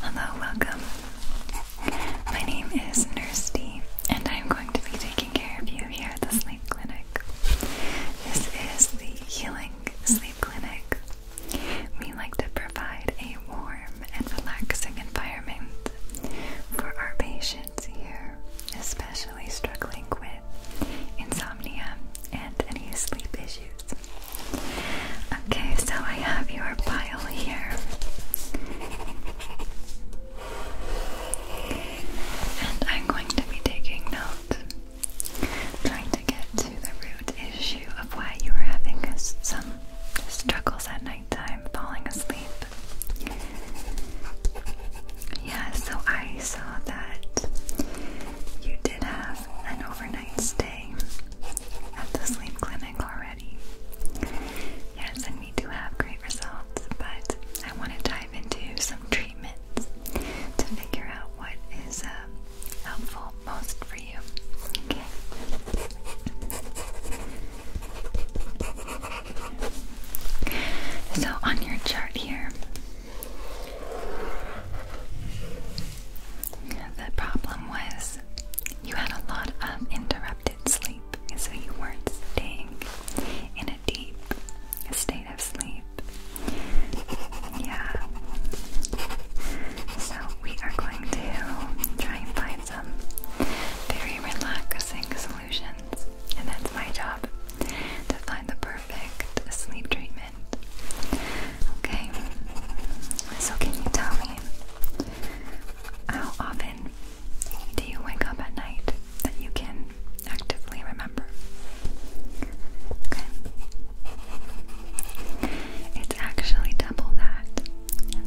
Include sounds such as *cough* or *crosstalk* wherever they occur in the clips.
Hello, welcome. My name is Nurse D, and I'm going to be taking care of you here at the sleep clinic. This is the Healing Sleep Clinic. We like to provide a warm and relaxing environment for our patients here, especially struggling with insomnia and any sleep issues. Okay, so I have your pile here. And I'm going to be taking note, trying to get to the root issue of why you are having some struggles at nighttime falling asleep. Yeah, so I saw that you did have an overnight stay at the sleep clinic already. Yes, and we do have great results, but I want to dive into some treatments to figure out what is uh, helpful most for you. Okay. So, on your chart here, the problem was you had a lot of interrupted sleep, so you weren't staying in a deep state of sleep. Yeah. So we are going to try and find some very relaxing solutions, and that's my job to find the perfect sleep treatment. Okay, so can you tell me how often do you wake up at night that you can actively remember? Okay. It's actually double that.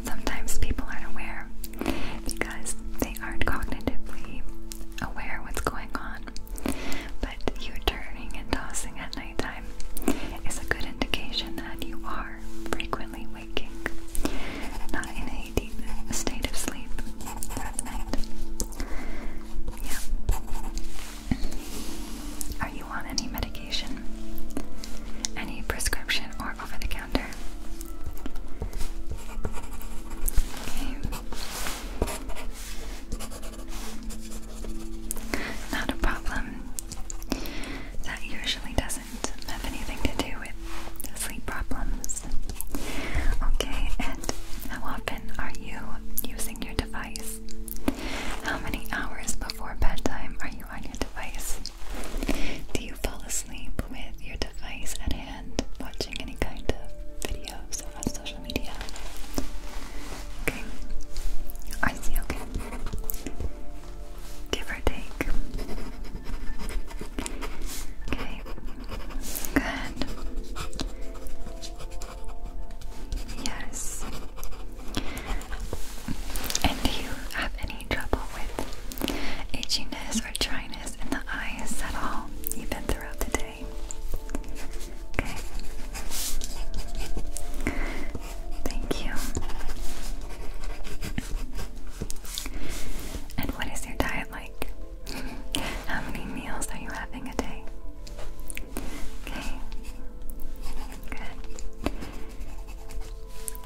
sometimes people aren't aware because they aren't cognitively aware what's going on but you turning and tossing at nighttime is a good indication that you are frequently waking, not in a deep state of sleep Yeah. Are you on any medication? Any prescription or over the counter? Okay. Not a problem. That usually doesn't have anything to do with sleep problems. Okay, and how often are you using your device? How many hours before bedtime are you on your device? Do you fall asleep with your device at hand, watching any kind of video? Okay. I see, okay. Give or take. Okay. Good. Yes. And do you have any trouble with itchiness or dryness in the eyes at all, even throughout the day? okay? Okay. Thank you. And what is your diet like? How many meals are you having a day? Okay. Good.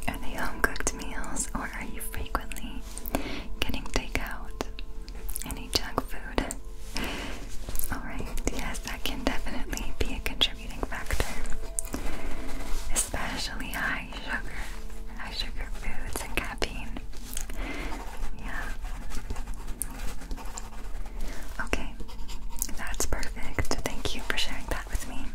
Are they home cooked meals or are you frequently getting takeout? Any junk food? Alright, yes, that can definitely be a contributing factor. Especially high sugar, high sugar foods and caffeine. Yeah. Okay, that's perfect. Thank you for sharing that with me.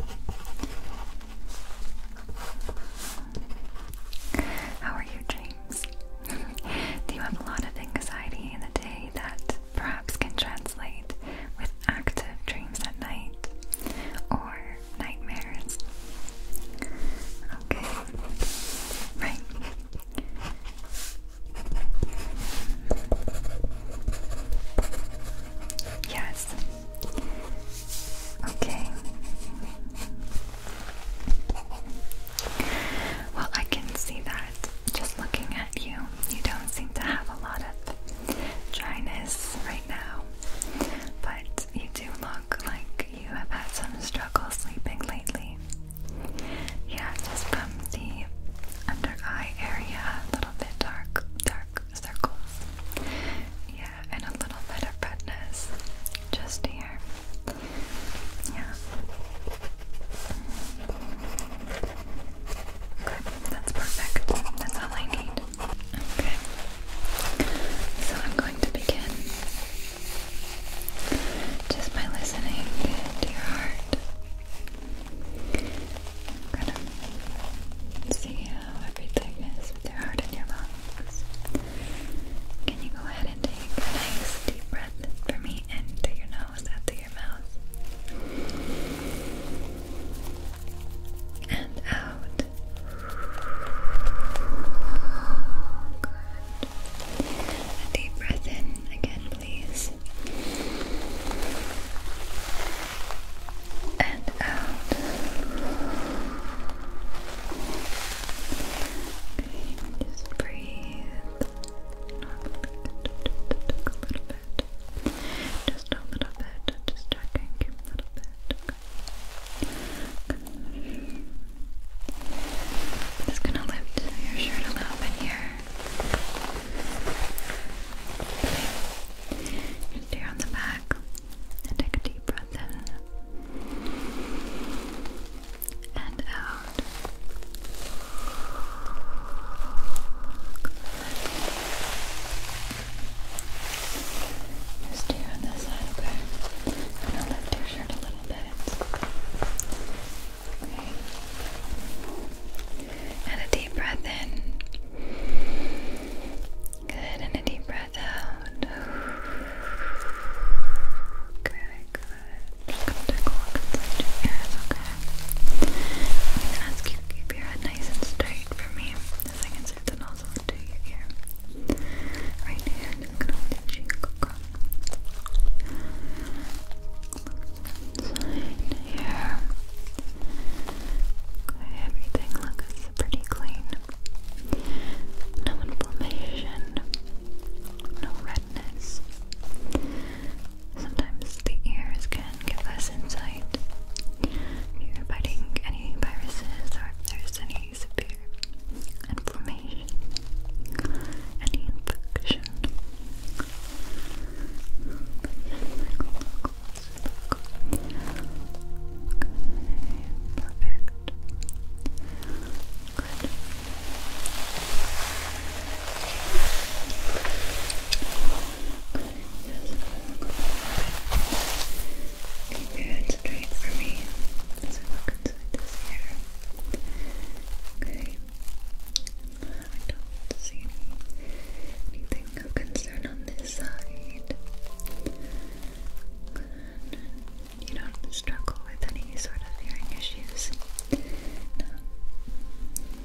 How are your dreams? *laughs* Do you have a lot of anxiety in the day that perhaps can translate with active dreams at night or nightmares. Okay, right. Yes. Okay. Well, I can see that just looking at you, you don't seem to have a lot of dryness right now. But you do look like you have had some struggle sleeping lately. Yeah, just from the under eye area, a little bit dark, dark circles. Yeah, and a little bit of redness just here. Yeah. Okay, that's perfect. That's all I need. Okay. So I'm going to begin just by listening to your heart. I'm gonna see how everything is with your heart and your lungs. Can you go ahead and take a nice deep breath for me into your nose into your and out. Good. A deep breath in again, please. And out. just breathe normally just a little bit. Just a little bit. Just checking a little bit. just gonna lift your shirt a little bit here. Just here on the back. And take a deep breath in. And out good. on this side, okay? i lift your shirt a little bit. Okay. And a deep breath in. Good, and a deep breath out. Good, just gonna take a look your ears, okay? i ask you to keep your head nice and straight for me as I can sit the nozzle into your ear. Right here, just gonna hold your cheek here. everything looks pretty clean. No inflammation, no redness. Sometimes the ears can give us insight you're fighting any viruses or if there's any severe inflammation, any infection. perfect. Good. Keep your head straight for me as I look inside this hair. Okay. I don't see anything of concern on this side. You don't struggle with any sort of hearing issues. No.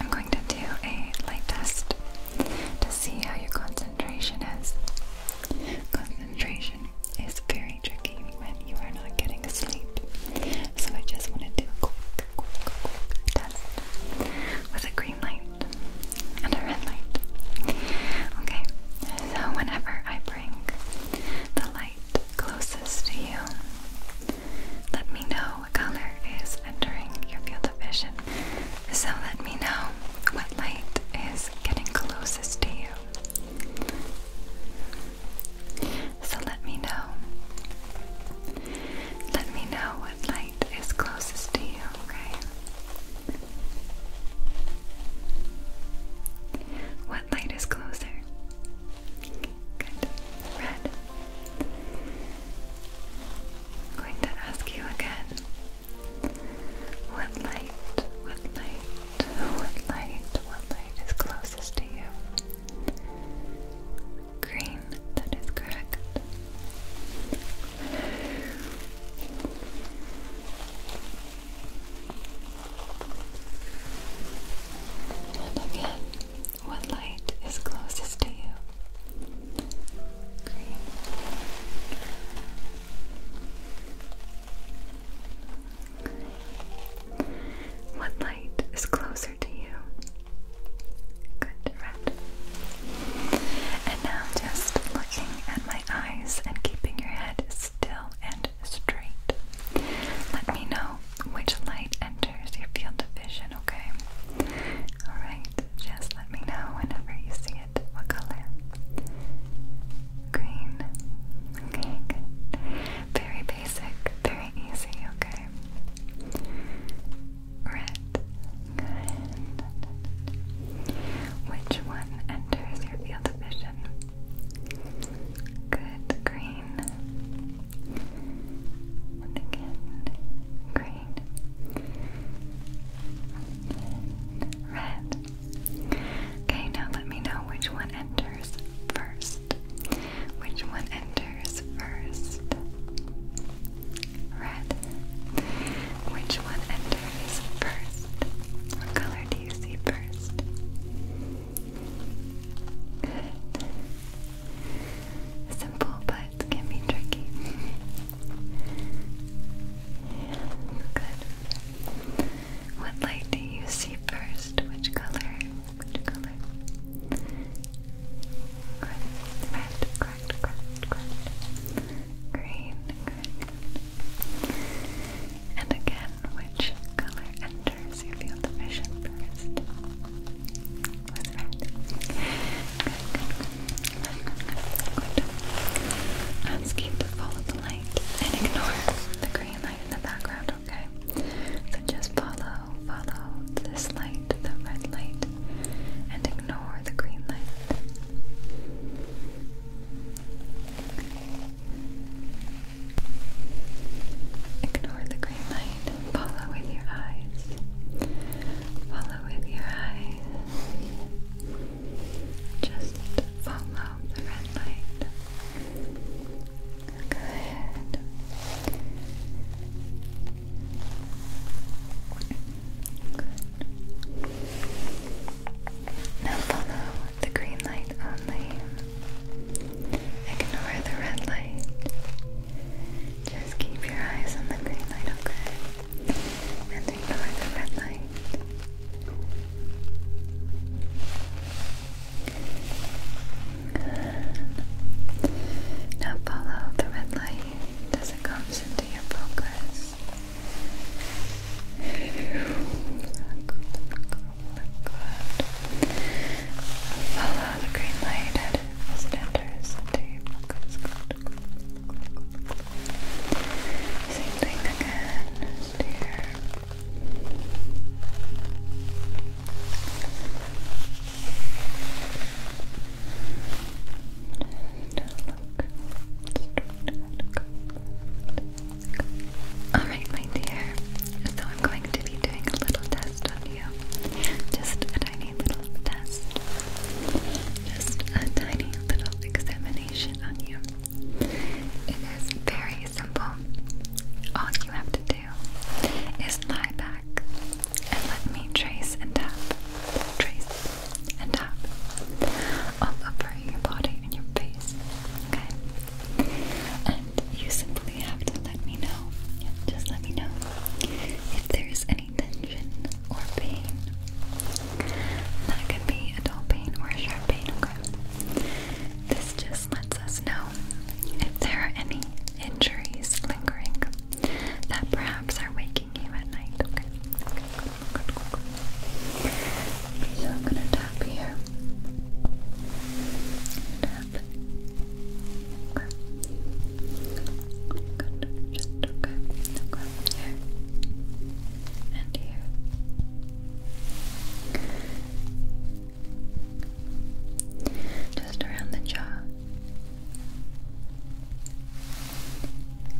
I'm going to do a light test to see how your concentration is. Concentration is very tricky when you are not getting sleep, so I just want to do a quick, quick, quick test with a green light and a red light. Okay, so whenever I bring the light closest to you, let me know yellow color is entering your field of vision. So let me know what light is getting closest to you. So let me know. Let me know what light is closest to you, okay? What light is closer? kind red. I'm going to ask you again. What light, what light, what light, what light is closest to you? Green, that is correct. And what light is closest to you? Green. What light is closer to you? Good, red. And now just looking at my eyes and keeping your head still and straight. Let me know which light enters enters your field of vision, okay? Alright, just let me know whenever you see it. What color? Green. Okay, Very basic, very easy, okay? Red. Which one enters your field of vision? Good. Green. again. Green red. Okay, now let me know which one enters first. Which one enters first? Red. Which one enters first? What color do you see first? Simple, but can be tricky. good. What light do you see first? Which color? Which color? Red, red, correct, correct, correct. Green, green. And again, which color enters? You feel the vision first. Ask you to follow the light and ignore the green light in the background, okay? So just follow, follow this light, the red light, and ignore the green light. Ignore the green light, follow with your eyes. Follow with your eyes. Just follow the red light. Good. Good. Now follow the green light only. Ignore the red light. Just keep your eyes on the green light, okay? And ignore the red light. Now follow the red light as it comes into your focus. Follow the green light same thing again, steer. Alright, my dear. So I'm going to be doing a little test on you. Just tiny little test. Just a tiny little examination on you. It is very simple. All you have to do is lie back and let me trace and tap, trace and tap all over your body and your face. Okay? And you simply have to let me know. just let me know if there's any tension or pain. That can be a dull pain or a sharp pain, okay? This just lets us know if there are any injuries lingering that perhaps are waking you at night, okay? So I'm gonna tap here. Tap. Just okay. Here. And here. Just around the jaw.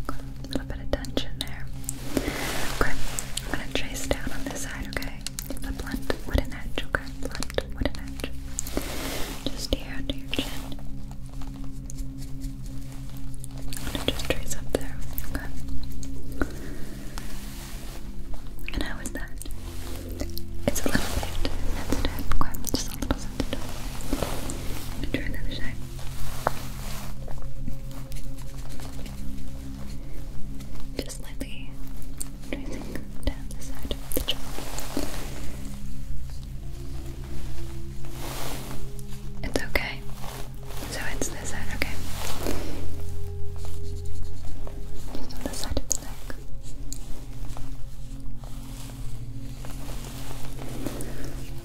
a little bit of tension there. Okay. I'm gonna trace down on this side, okay? The blunt edge, okay? Blunt wooden edge. Just here under your chin. And just trace up there, okay? And how is that? It's a little bit sensitive, okay? Just a little sensitive. And try another side. Just slightly tracing down the side of the jaw. It's okay. So it's this side, okay. Just on the side of the neck.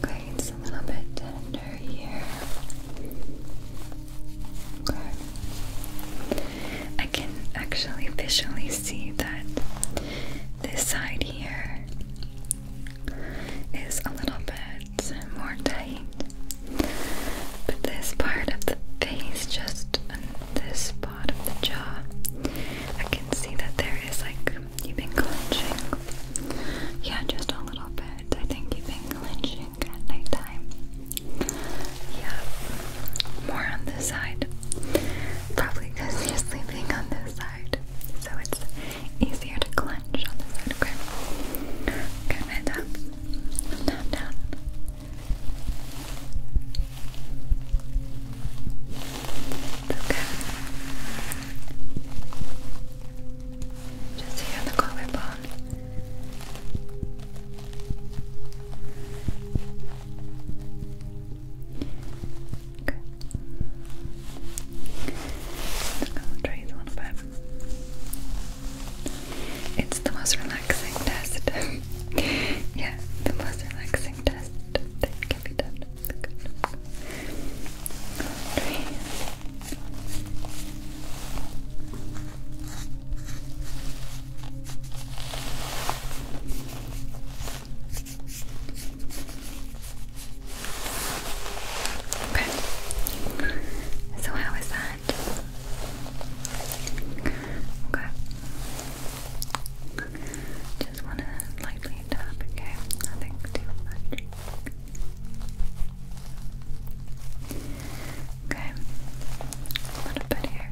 Okay, it's a little bit tender here. Okay. I can actually visually see that this side here is a little bit more tight, but this part of the face, just on this part of the jaw, I can see that there is like you've been clenching. Yeah, just a little bit. I think you've been clenching at night time. Yeah, more on this side. Probably because you're sleeping on this side so it's easier to clench on this side. Okay, okay, and up, down, down. It's okay. Just here on the collarbone. Okay. It's the most relaxing test. *laughs* yeah, the most relaxing test that can be done. Okay. So how is that? Okay. Just wanna lightly tap, okay? Nothing too much. Okay. A little bit here.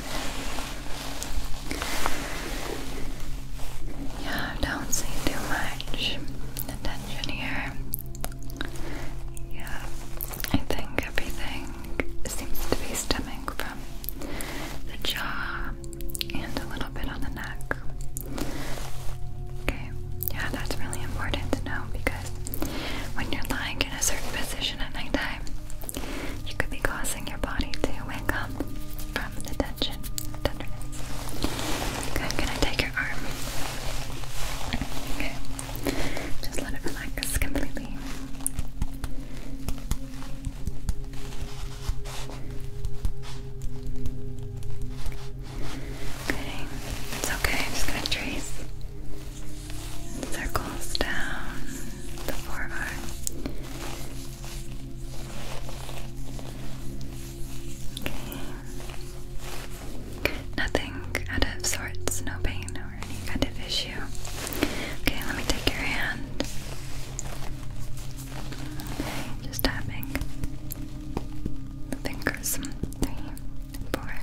Yeah, don't see too much attention here. Yeah, I think everything seems to be stemming from the jaw and a little bit on the neck. Okay, yeah, that's really important to know because when you're lying in a certain position at nighttime, you could be causing your body to wake up from the tension, tenderness. Okay, can I take your arm? Okay, just let it relax completely. Okay, it's okay. I'm just gonna trace circles down the forearm. Okay. Nothing out of sorts, no pain or any kind of issue. Okay, let me take your hand. Okay, just tapping the fingers. Three, four,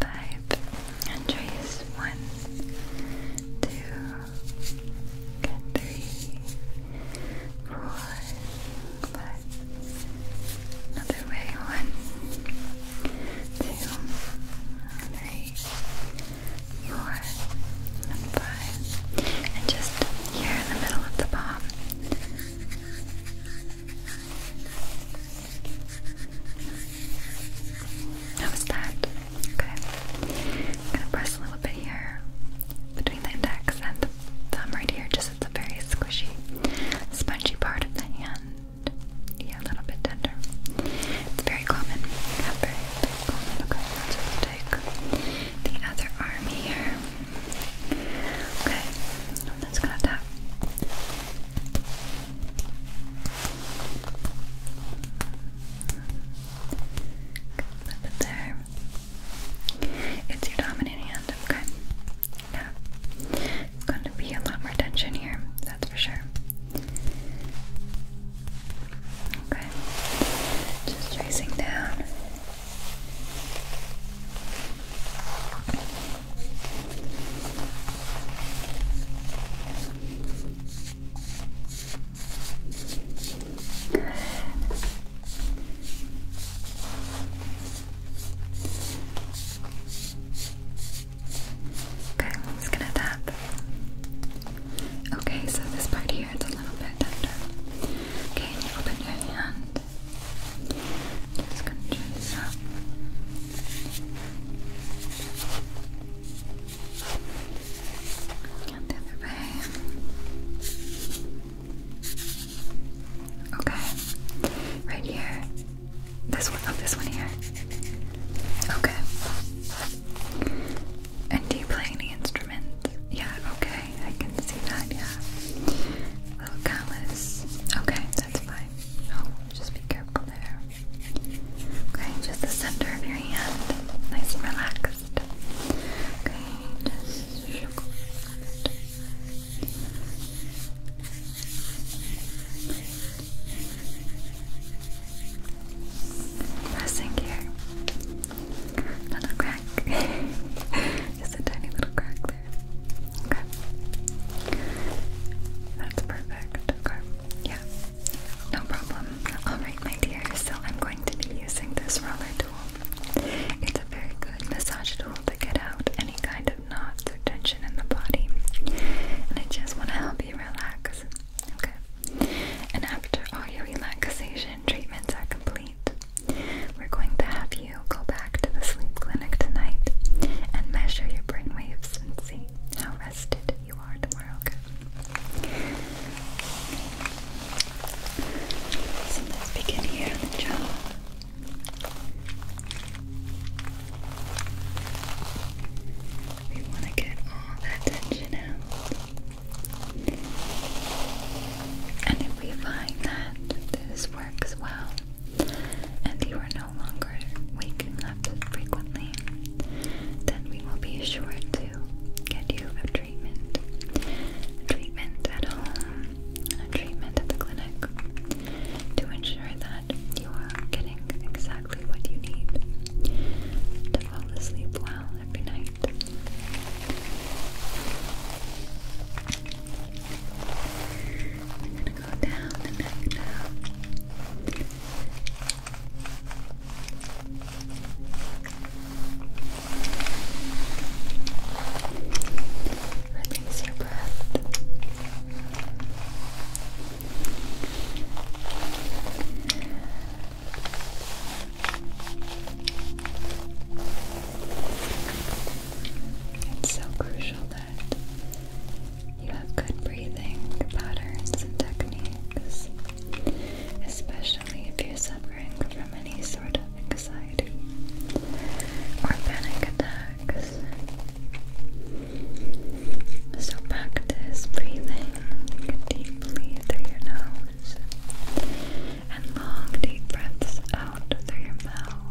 five, and trace. One, two, three, four, five. Another way. One, two, three, four, and five. And just here in the middle of the palm. How was that? Okay. gonna press a little bit here between the index and thumb right here, just at the very squishy, spongy part of the hand. Yeah, a little bit tender. It's very common. Okay, let's take the other arm here. Okay, I'm just going Flip it there. It's your dominant hand, okay? Yeah. It's going to be a lot more tension here, that's for sure. Okay. Just tracing down. Okay, I'm just gonna tap. Okay, so this part here is a little bit tender. Okay, open your hand. Just gonna turn this the other way. Okay. Right here. This one. Oh, this one here. Okay. And do you play any instruments? Yeah, okay. I can see that, yeah. Little callus. Okay, that's fine. Oh, just be careful there. Okay, just the center of your hand. Nice and relaxed first. Okay, just shook Pressing here. Little crack. *laughs* Just a tiny little crack there. Okay. That's perfect. Okay. Yeah. No problem. Alright, my dear, so I'm going to be using this roller tool. It's a very good massage tool to get out any kind of knots or tension in the body. And I just want to help you relax. Okay? And after all your relaxation treatments are complete, we're going to have you go back to the sleep clinic tonight and measure your brain waves and see how you are tomorrow, okay? So let's begin here on the jaw. We want to get all that tension out. And if we find that this works well, and you are no longer waking up frequently, then we will be sure to to get you a treatment. treatment at home, a treatment at the clinic to ensure that you are getting exactly what you need to fall asleep well every night. I'm gonna go down the neck now. Release your breath. It's so crucial that you have good breathing patterns and techniques, especially if you're suffering from any sort of anxiety or panic attacks. So practice breathing deeply through your nose and long deep breaths out through your mouth.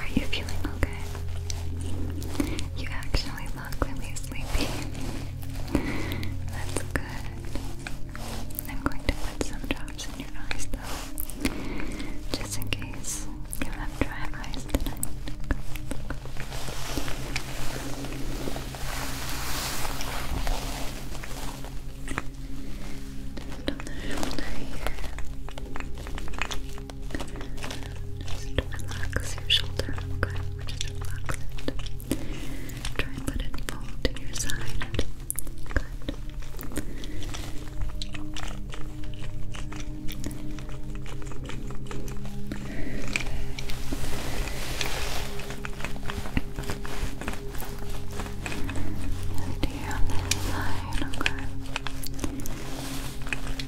Are you feeling okay? You actually look really sleepy. That's good. I'm going to put some drops in your eyes though, just in case you have dry eyes tonight. Just on the shoulder here. Just relax your shoulder, okay? Just relax it. Try and let it fall to your side. Good. Just here on this side, okay.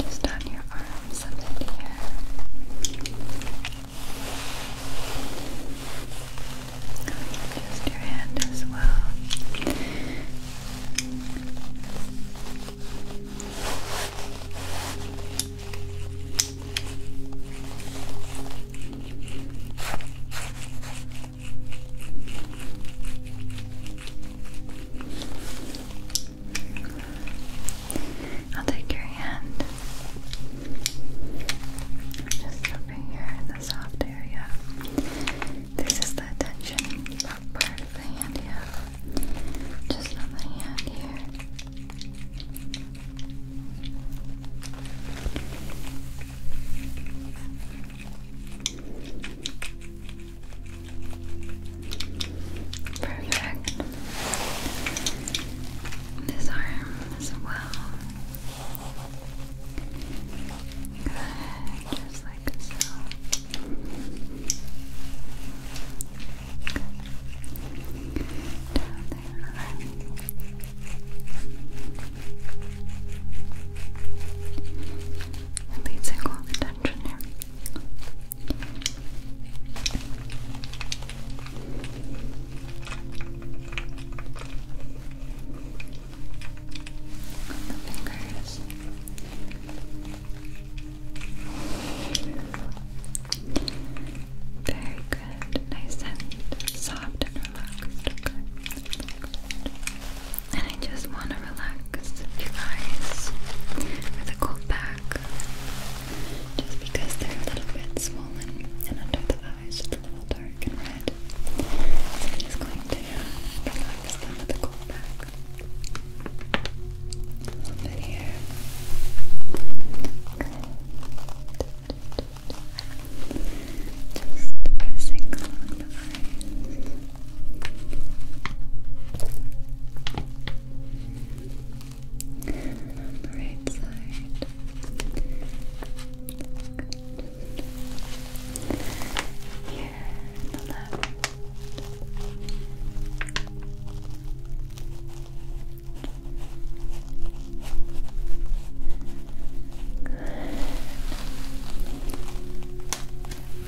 Just on your arms and in here. Just your hand as well. I'll take your hand just over here in the soft area. This is the tension part of the hand here. Just on the hand here. Perfect. This arm as well. Good, just like so. Good. Down there. Good releasing all the tension here. fingers. Very good. Nice and soft and relaxed and I just want to relax you guys with a cold pack just because they're a little bit swollen and under the eyes just a little dark and red I'm just going to relax them with a cold pack a little bit here just pressing along the eyes and on the right side. Good. Here on the left. Good.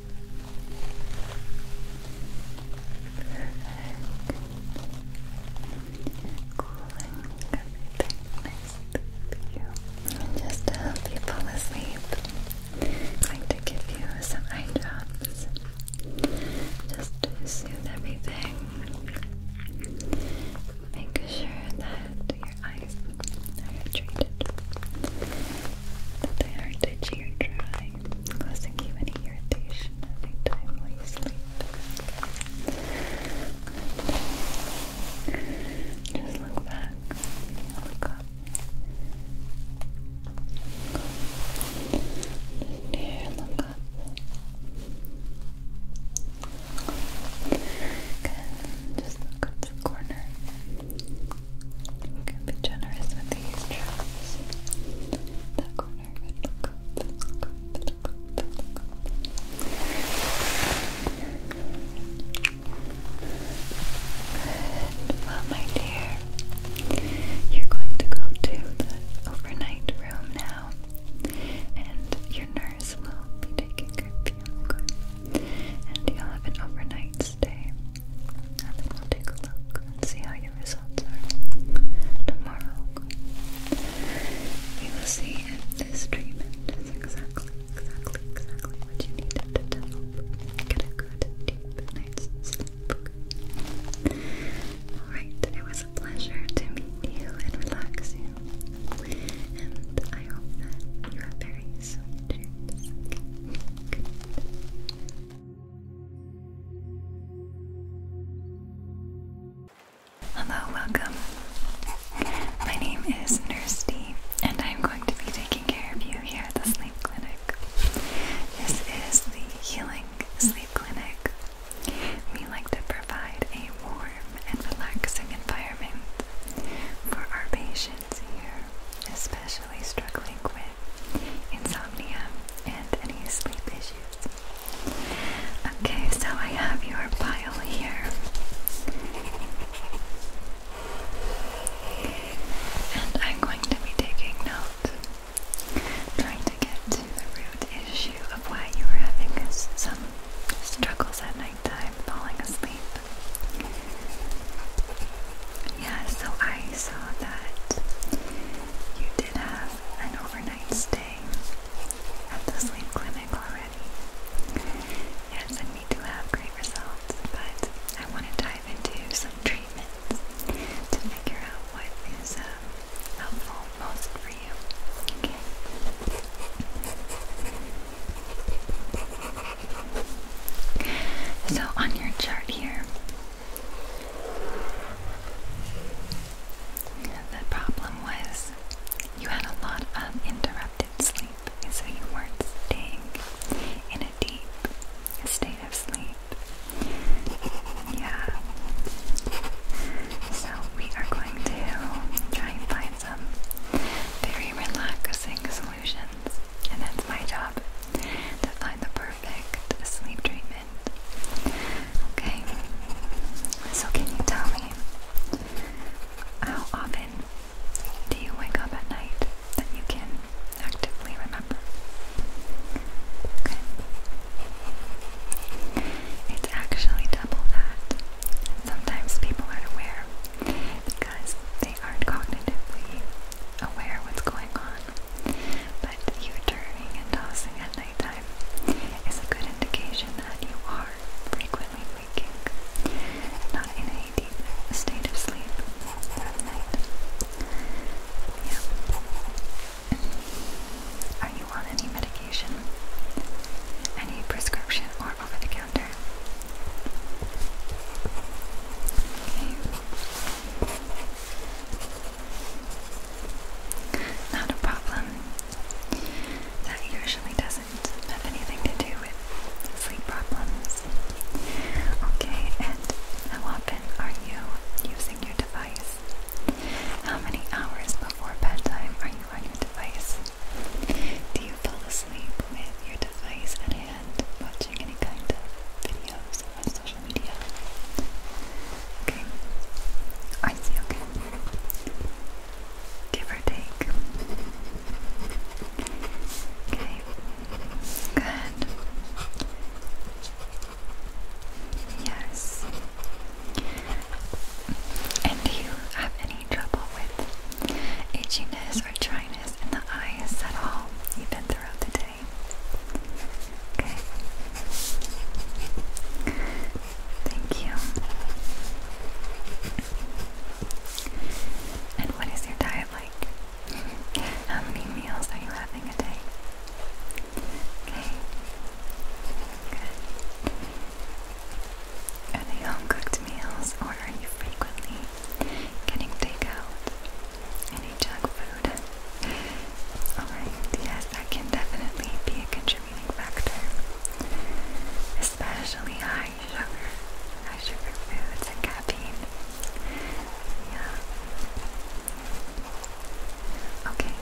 Perfect. Cooling everything next to you. And just to help you fall asleep, I'm going to give you some eye drops. Just soothe everything. Make sure that your eyes are treated. That they aren't itchy or dry causing you any irritation every while you sleep. Okay. Just look back, look up. here, look up. Good. Just look at the corner. You be generous with these traps well my dear you're going to go to the overnight room now and your nurse will be taking care of you, and you'll have an overnight stay and then we'll take a look and see how your results are tomorrow. You will see if this treatment is exactly, exactly, exactly what you needed to help get a good, deep night's sleep. Alright, it was a pleasure to meet you and relax you. And I hope that you are very sweet dreams. Hello, welcome. My name is Nurse D, and I'm going to be taking care of you here at the sleep clinic. This is the Healing Sleep Clinic. We like to provide a warm and relaxing environment for our patients here, especially struggling with insomnia and any sleep issues. Okay, so I have your pile here. And I'm going to be taking notes, trying to get to the root issue of why you are having some struggles at nighttime falling asleep. Yeah, so I I saw that you did have an overnight stay at the sleep clinic already. Yes, and we do have great results, but I want to dive into some treatments to figure out what is um, helpful most for you. Okay. So on your chart here, the problem was you had a lot of interrupted sleep, so you weren't staying in a deep state of sleep. Yeah. So we are going to try and find some very relaxing solutions, and that's my job to find the perfect sleep treatment. Okay, so can you tell me how often do you wake up at night that you can actively remember? Okay, it's actually double that. Sometimes people aren't aware because they aren't cognitively aware what's going on but you turning and tossing at nighttime is a good indication that you are frequently waking, not in a deep state of sleep at night. Yeah. Are you on any medication? Any prescription or over the counter? Not a problem. That usually doesn't have anything to do with sleep problems. Okay, and how often are you using your device? How many hours before bedtime are you on your device? Do you fall asleep with your device at hand watching any kind of videos social media. Okay. I see, okay. Give or take. Okay. Good. Yes. And do you have any trouble with itchiness or dryness in the eyes at all, even throughout the day? Okay. Thank you. And what is your diet like? *laughs* How many meals are you having a day? Okay. Good. Are they home cooked meals or are you frequently getting takeout? any junk food. Alright, yes, that can definitely be a contributing factor. Especially high sugar, high sugar foods and caffeine. Yeah. Okay,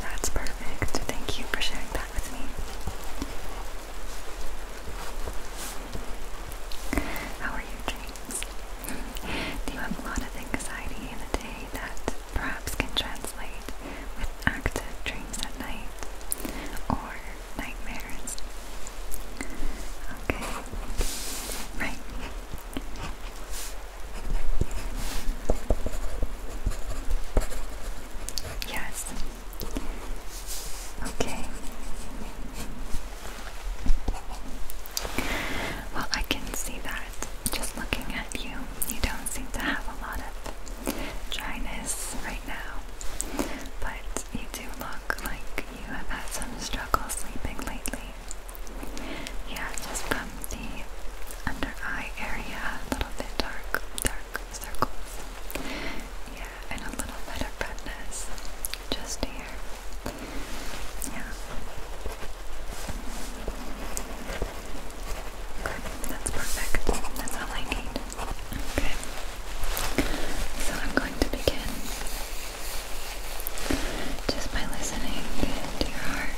that's perfect. Thank you for sharing that with me. How are you, Drew? times. *laughs* Do you have a lot of anxiety in the day that perhaps can translate with active dreams at night or nightmares? Okay, right. Yes. Okay. Well, I can see that just looking at you. You don't seem to have a lot of dryness right now, but you do look like you have had some struggle sleeping lately. Yeah, just from the under eye area, a little bit dark, dark circles. Yeah, and a little bit of redness just here. Yeah. Good. That's perfect. That's all I need. Okay. So I'm going to begin just by listening to your heart.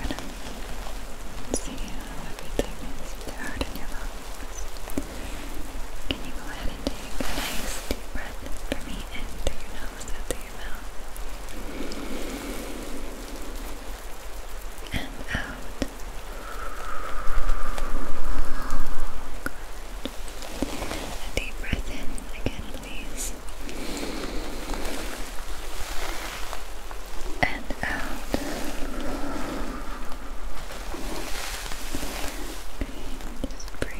I'm going how everything is with your heart and your lungs. Can you go ahead and take a nice deep breath for me in through your nose through your and out. Good. A deep breath in again, please. And out. just breathe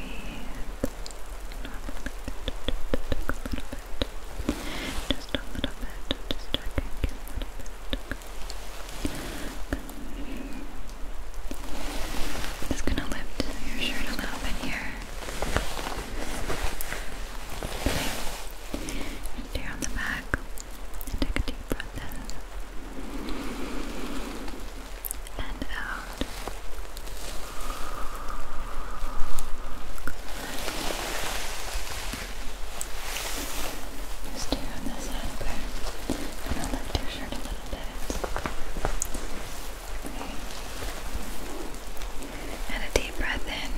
bit, just a little bit, just checking a little bit. Just gonna lift your shirt a little bit here. Okay. Tear on the back take a deep breath in and out. Just do on this side, okay? And I'll lift your shirt a little bit. Okay. And a deep breath in.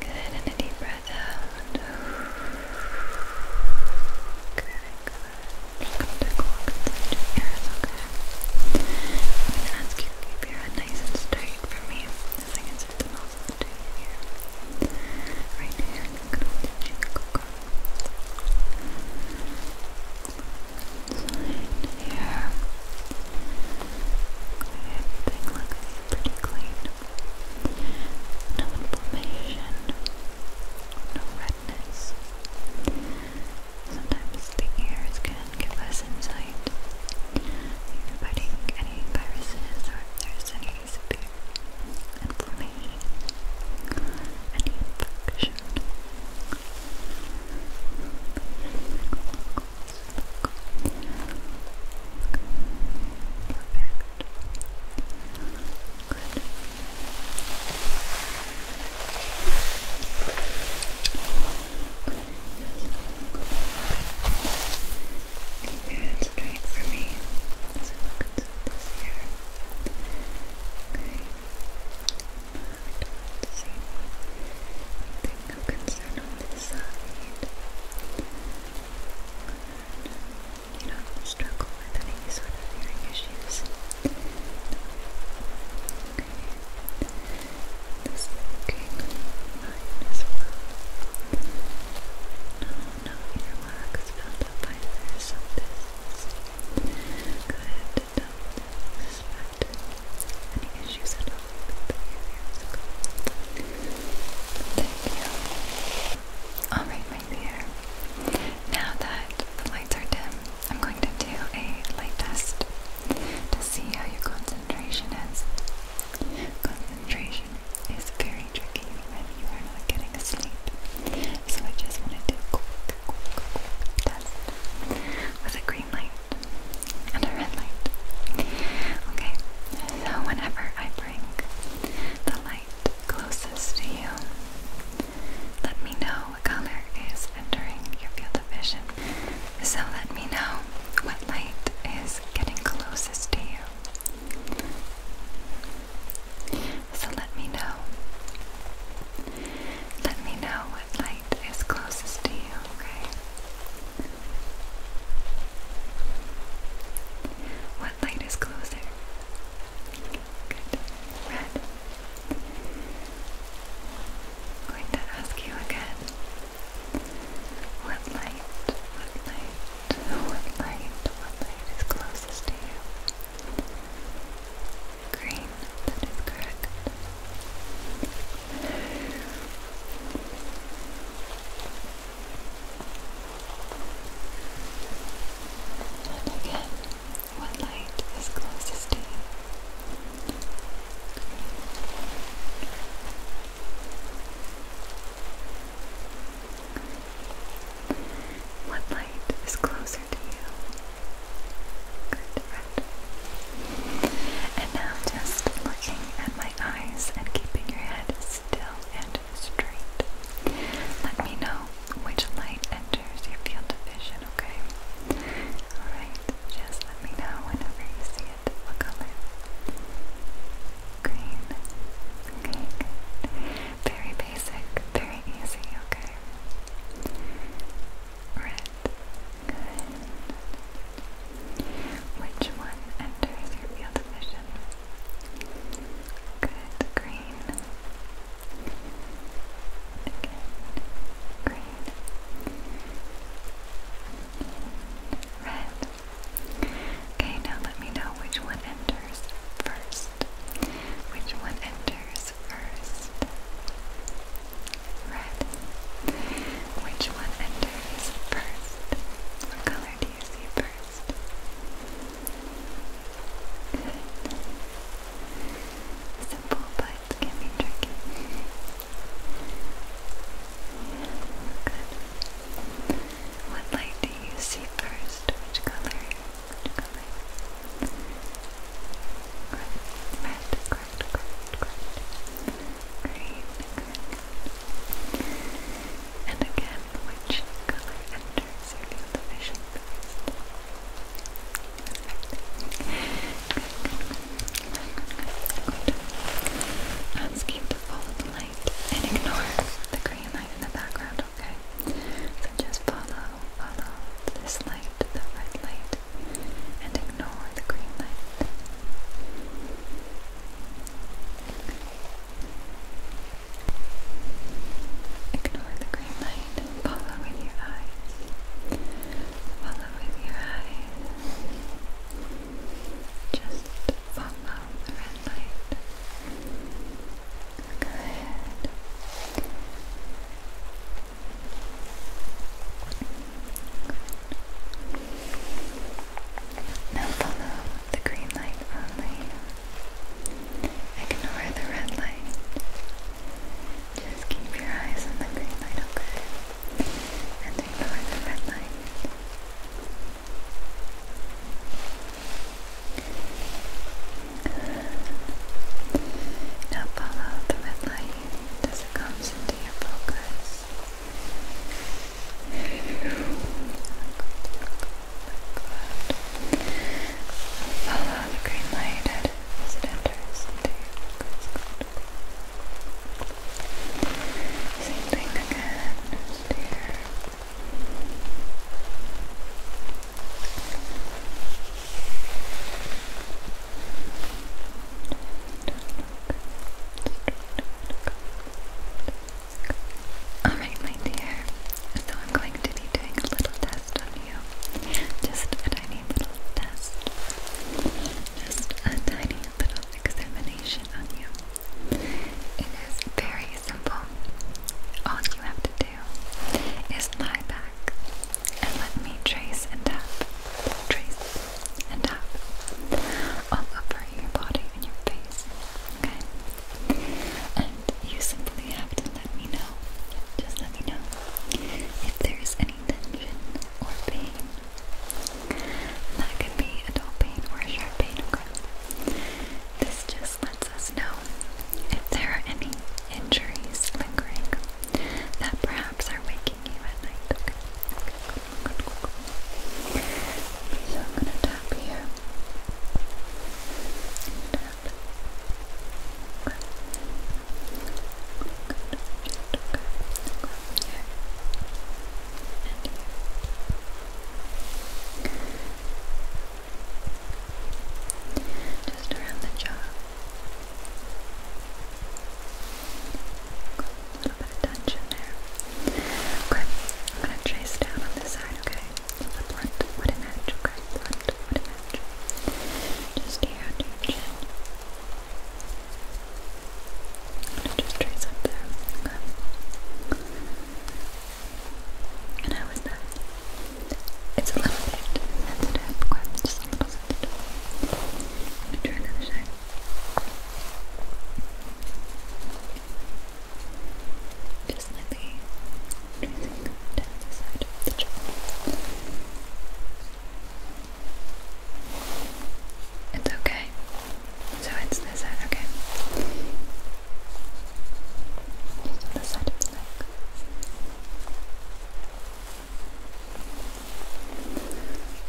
Good, and a deep breath out. Good, good. Welcome to compensation ears, okay? I'm ask you to keep your head nice and straight for me as I insert the mouse into your ear. Right here, I'm going to hold your cheek, okay? Inside here. Okay, everything looks pretty clean. No inflammation, no red madness. Sometimes the ears can give us insight. you fighting any viruses or if there's any severe inflammation, any infection. Good. Keep your for me as I look into this Okay. Hard concern on this side. You don't struggle with any sort of hearing issues. This looking mine as well. No, no earwax built up by the some Good, don't suspect any issues at all with the behavior. Thank you. Alright, my dear. Now that the lights are dim, I'm going to do a light test to see how your concentration is. Concentration is very tricky when you are not getting sleep, so I just wanted to quick, quick, quick test with a green light and a red light. Okay, so whenever I bring the light closest to you, let me know what color is entering your field of vision. So let me know what light is getting closest to you. So let me know. Let me know what light is closest to you, okay? What light is closer? Good. Red. I'm going to ask you again. What light, what light, what light, what light is closest to you? Green, that is correct. And again. One light is closest to you? What light is closer to you? Good, red. And now just looking at my eyes and keeping your head still and straight. Let me know which light enters your field of vision, okay? Alright, just let me know whenever you see it. What color? Green. Okay, Very basic, very easy, okay? Red. Which one enters your field of vision? Good. Green. Again, green. red. Okay, now let me know which one enters first. Which one enters first? Red. Which one enters first? What color do you see first? Simple but it What light do you see first? Which color? Which color? Red, red, correct, correct, And again, which color enters your vision first? Ask you to follow the light and ignore the green light in the background, okay? So just follow, follow this light, the red light, and ignore the green light. Ignore the green light. Follow with your eyes. Follow your eyes. Just follow the red light. Good. Good. Now follow the green light only. Ignore the red light. Just keep your eyes on the green light, okay? And ignore the red light. Now follow the red light as it comes into your focus. Good. Follow the green light it as it enters into Same thing again, just Alright, my dear, so I'm going to be doing a little test on you. Just tiny little test. Just a tiny little examination on you. It is very simple. All you have to do is lie back and let me trace and tap, trace and tap all over your body and your face. Okay? And you simply have to let me know. Just let me know if there's any tension or pain. that could be a dull pain or a sharp pain. This just lets us know if there are any injuries lingering that perhaps are waking you at night. So I'm gonna tap here. Tap. Just around the jaw. a little bit of tension there. Okay, I'm gonna trace down on this side, okay? It's a blunt edge, okay? Blunt wooden just here just trace up there. Okay. And how is that? It's a little bit sensitive, okay? Just a little sensitive. i to try side. Just slightly tracing down the side of the jaw. It's okay. So it's this side, okay. Just side of the neck.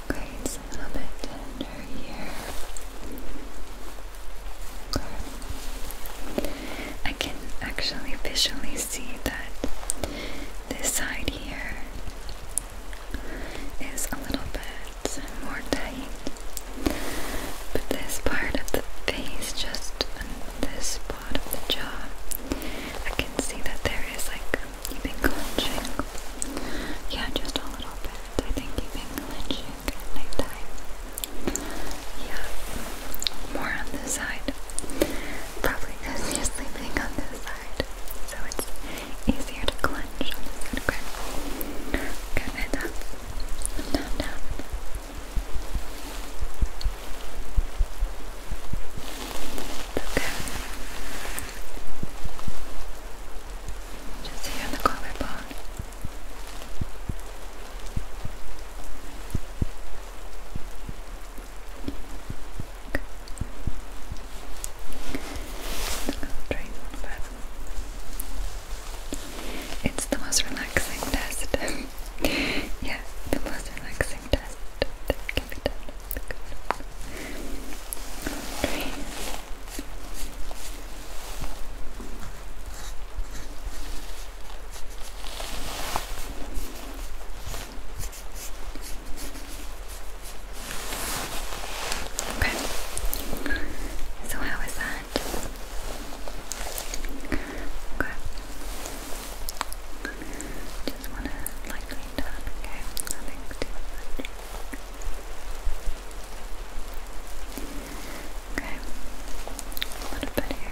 Okay, it's a little bit tender here. I can actually visually see that this side here is a little bit more tight, but this part of the face, just this part of the jaw, I can see that there is like you've been clenching. Yeah, just a little bit. I think you've been clenching at night time. Yeah, more on the side. Probably because you sleeping on this side, so it's easier to clench Okay, good. Head down, down. Okay. Just here on the collarbone. It's the most relaxing test. *laughs* yeah, the most relaxing test Okay. Okay. So how is that? Okay. Just wanna lightly tap, okay? Nothing too much. Okay. A little bit here.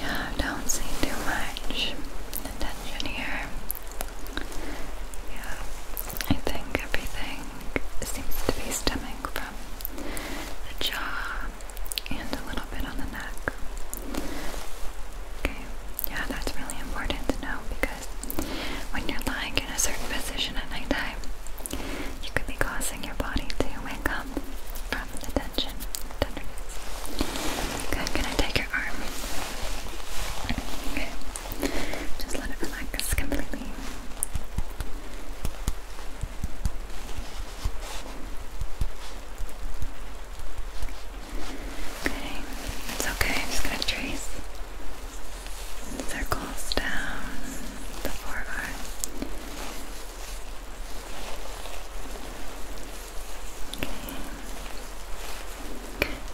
Yeah, don't see too much tension here. Yeah, I think everything seems to be stemming from the jaw and a little bit on the neck. Okay, yeah, that's really important to know because when you're lying in a certain position at night time, you could be causing your body to wake up from the tension, Good, can I take your arm? Okay, just let it relax completely. Okay, it's okay, I'm just going to trace circles down the forearm Okay.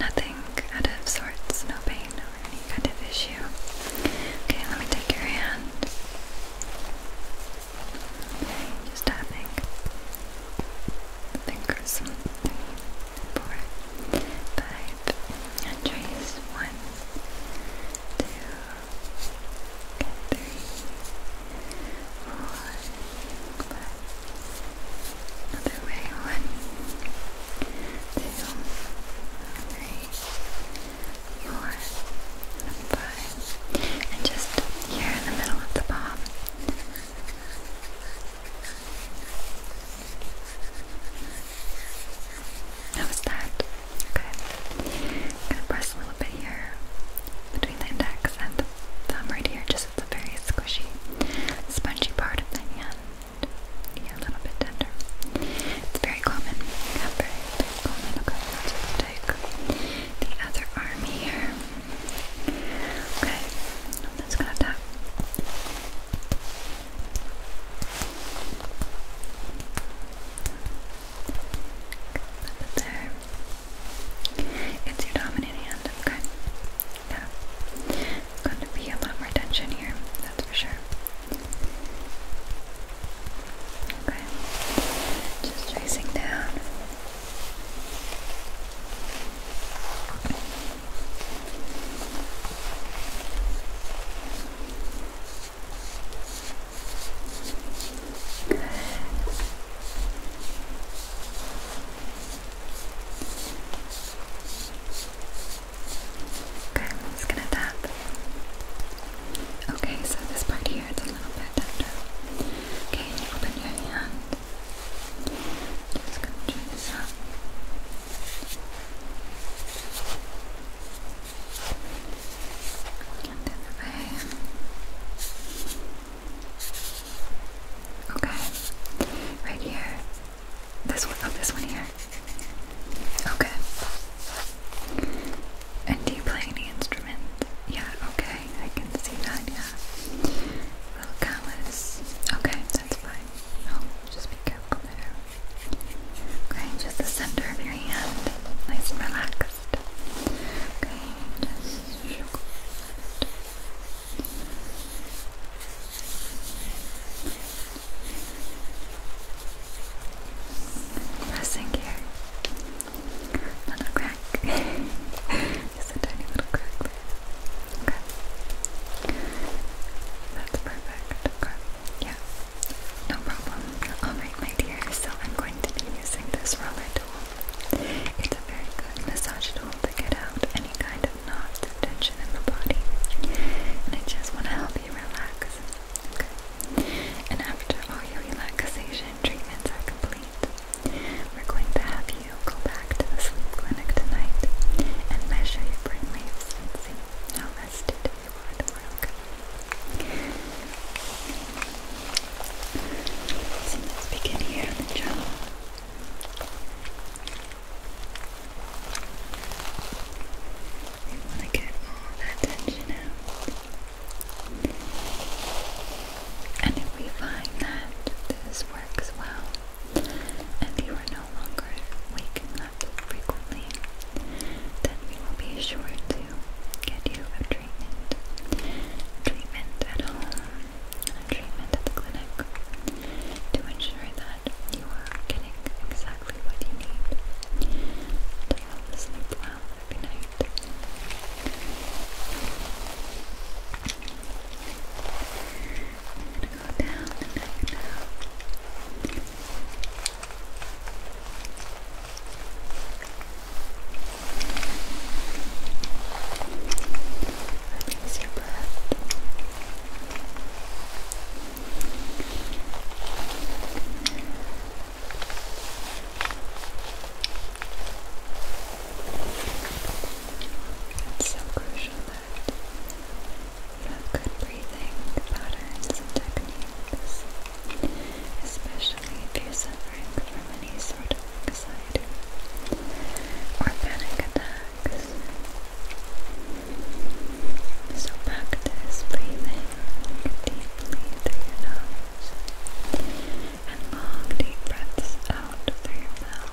Nothing out sorts, no pain or any kind of issue. Okay, let me take your hand. Okay, just tapping. Fingers. Three, four, five, and trace. One, two, three, four, five. Other way. One, two, three, four, five. And just here in the middle of the palm. How is that? Okay. gonna press a little bit here between the index and thumb right here, just at the very squishy, spongy part of the hand. Yeah, a little bit tender. It's very common. very, very common. Okay, let's take the other arm here. Okay, i gonna tap. Put there. It's your dominant hand, okay? Yeah. Going to be a lot more tension here, that's for sure. Okay. Just tracing down. Okay. Okay, I'm just gonna tap. Okay, so this part here it's a little bit tender. Okay, you open your hand. Just gonna turn this up. Okay. Right here. This one. Oh, this one here. Okay. And do you play any instrument? Yeah, okay. I can see that, yeah. Little callus. Okay, that's fine. Oh, just be careful there. Okay, just the center of your hand, nice and relaxed. Okay, just shook Pressing here. Little crack. *laughs* Just a tiny little crack Okay. That's perfect. Okay. Yeah. No problem. Alright, my dear, so I'm going to be using this roller tool. It's a very good massage tool to get out any kind of knots or tension in the body. And I just want to help you relax. Okay. And after all your relaxation treatments are complete, we're going to have you go back to the sleep clinic tonight and measure your brain waves and see how rested tomorrow, tomorrow, okay. let's begin here on the job. We want to get all that tension out. And if we find that this works well, and you are no longer waking up frequently, then we will be sure to to get you a treatment. treatment at home, treatment at clinic to ensure that you are getting exactly what you need to fall well every night. I'm gonna go down the neck now. Release It's so crucial that you good breathing patterns and techniques especially if you're suffering from any sort of anxiety or panic attacks. So practice breathing deeply through your nose and long deep breaths out through your mouth.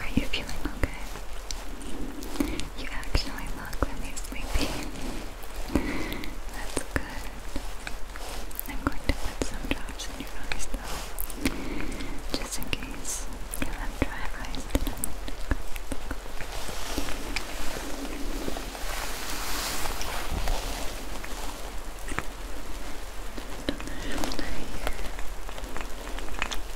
Are you feeling okay? You actually look really sleepy. That's good. I'm going to put some drops in your eyes though. Just in case you have dry eyes tonight. Just on the shoulder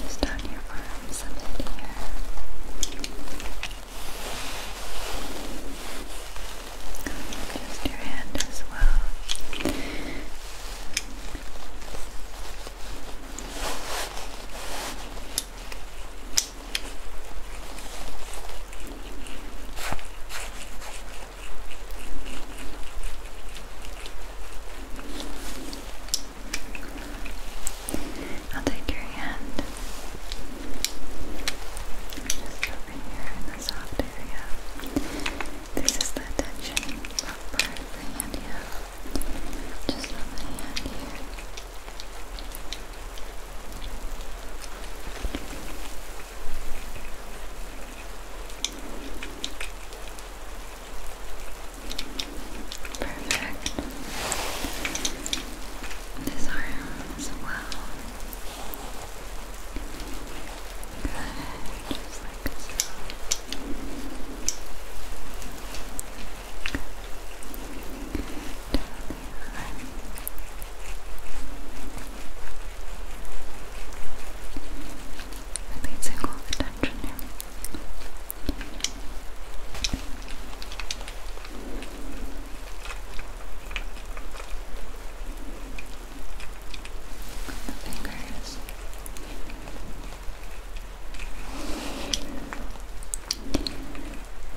Just on your arms a bit here. Just your hand as well. Just I'll take your hand just over here in the soft area. This is the tension part of the hand here. Just on the hand here. Perfect. This arm as well. Good, just like so. Good. Down the arm. Every single attention here. The fingers.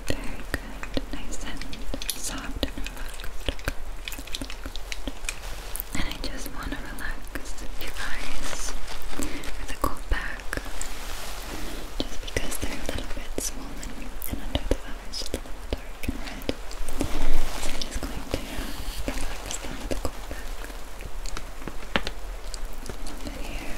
Very good. Nice and soft and relaxed and I just want to relax your eyes with a cold pack just because they're a little bit swollen and under the eyes just a little dark and red so I'm just going to relax them with a cold pack a little bit here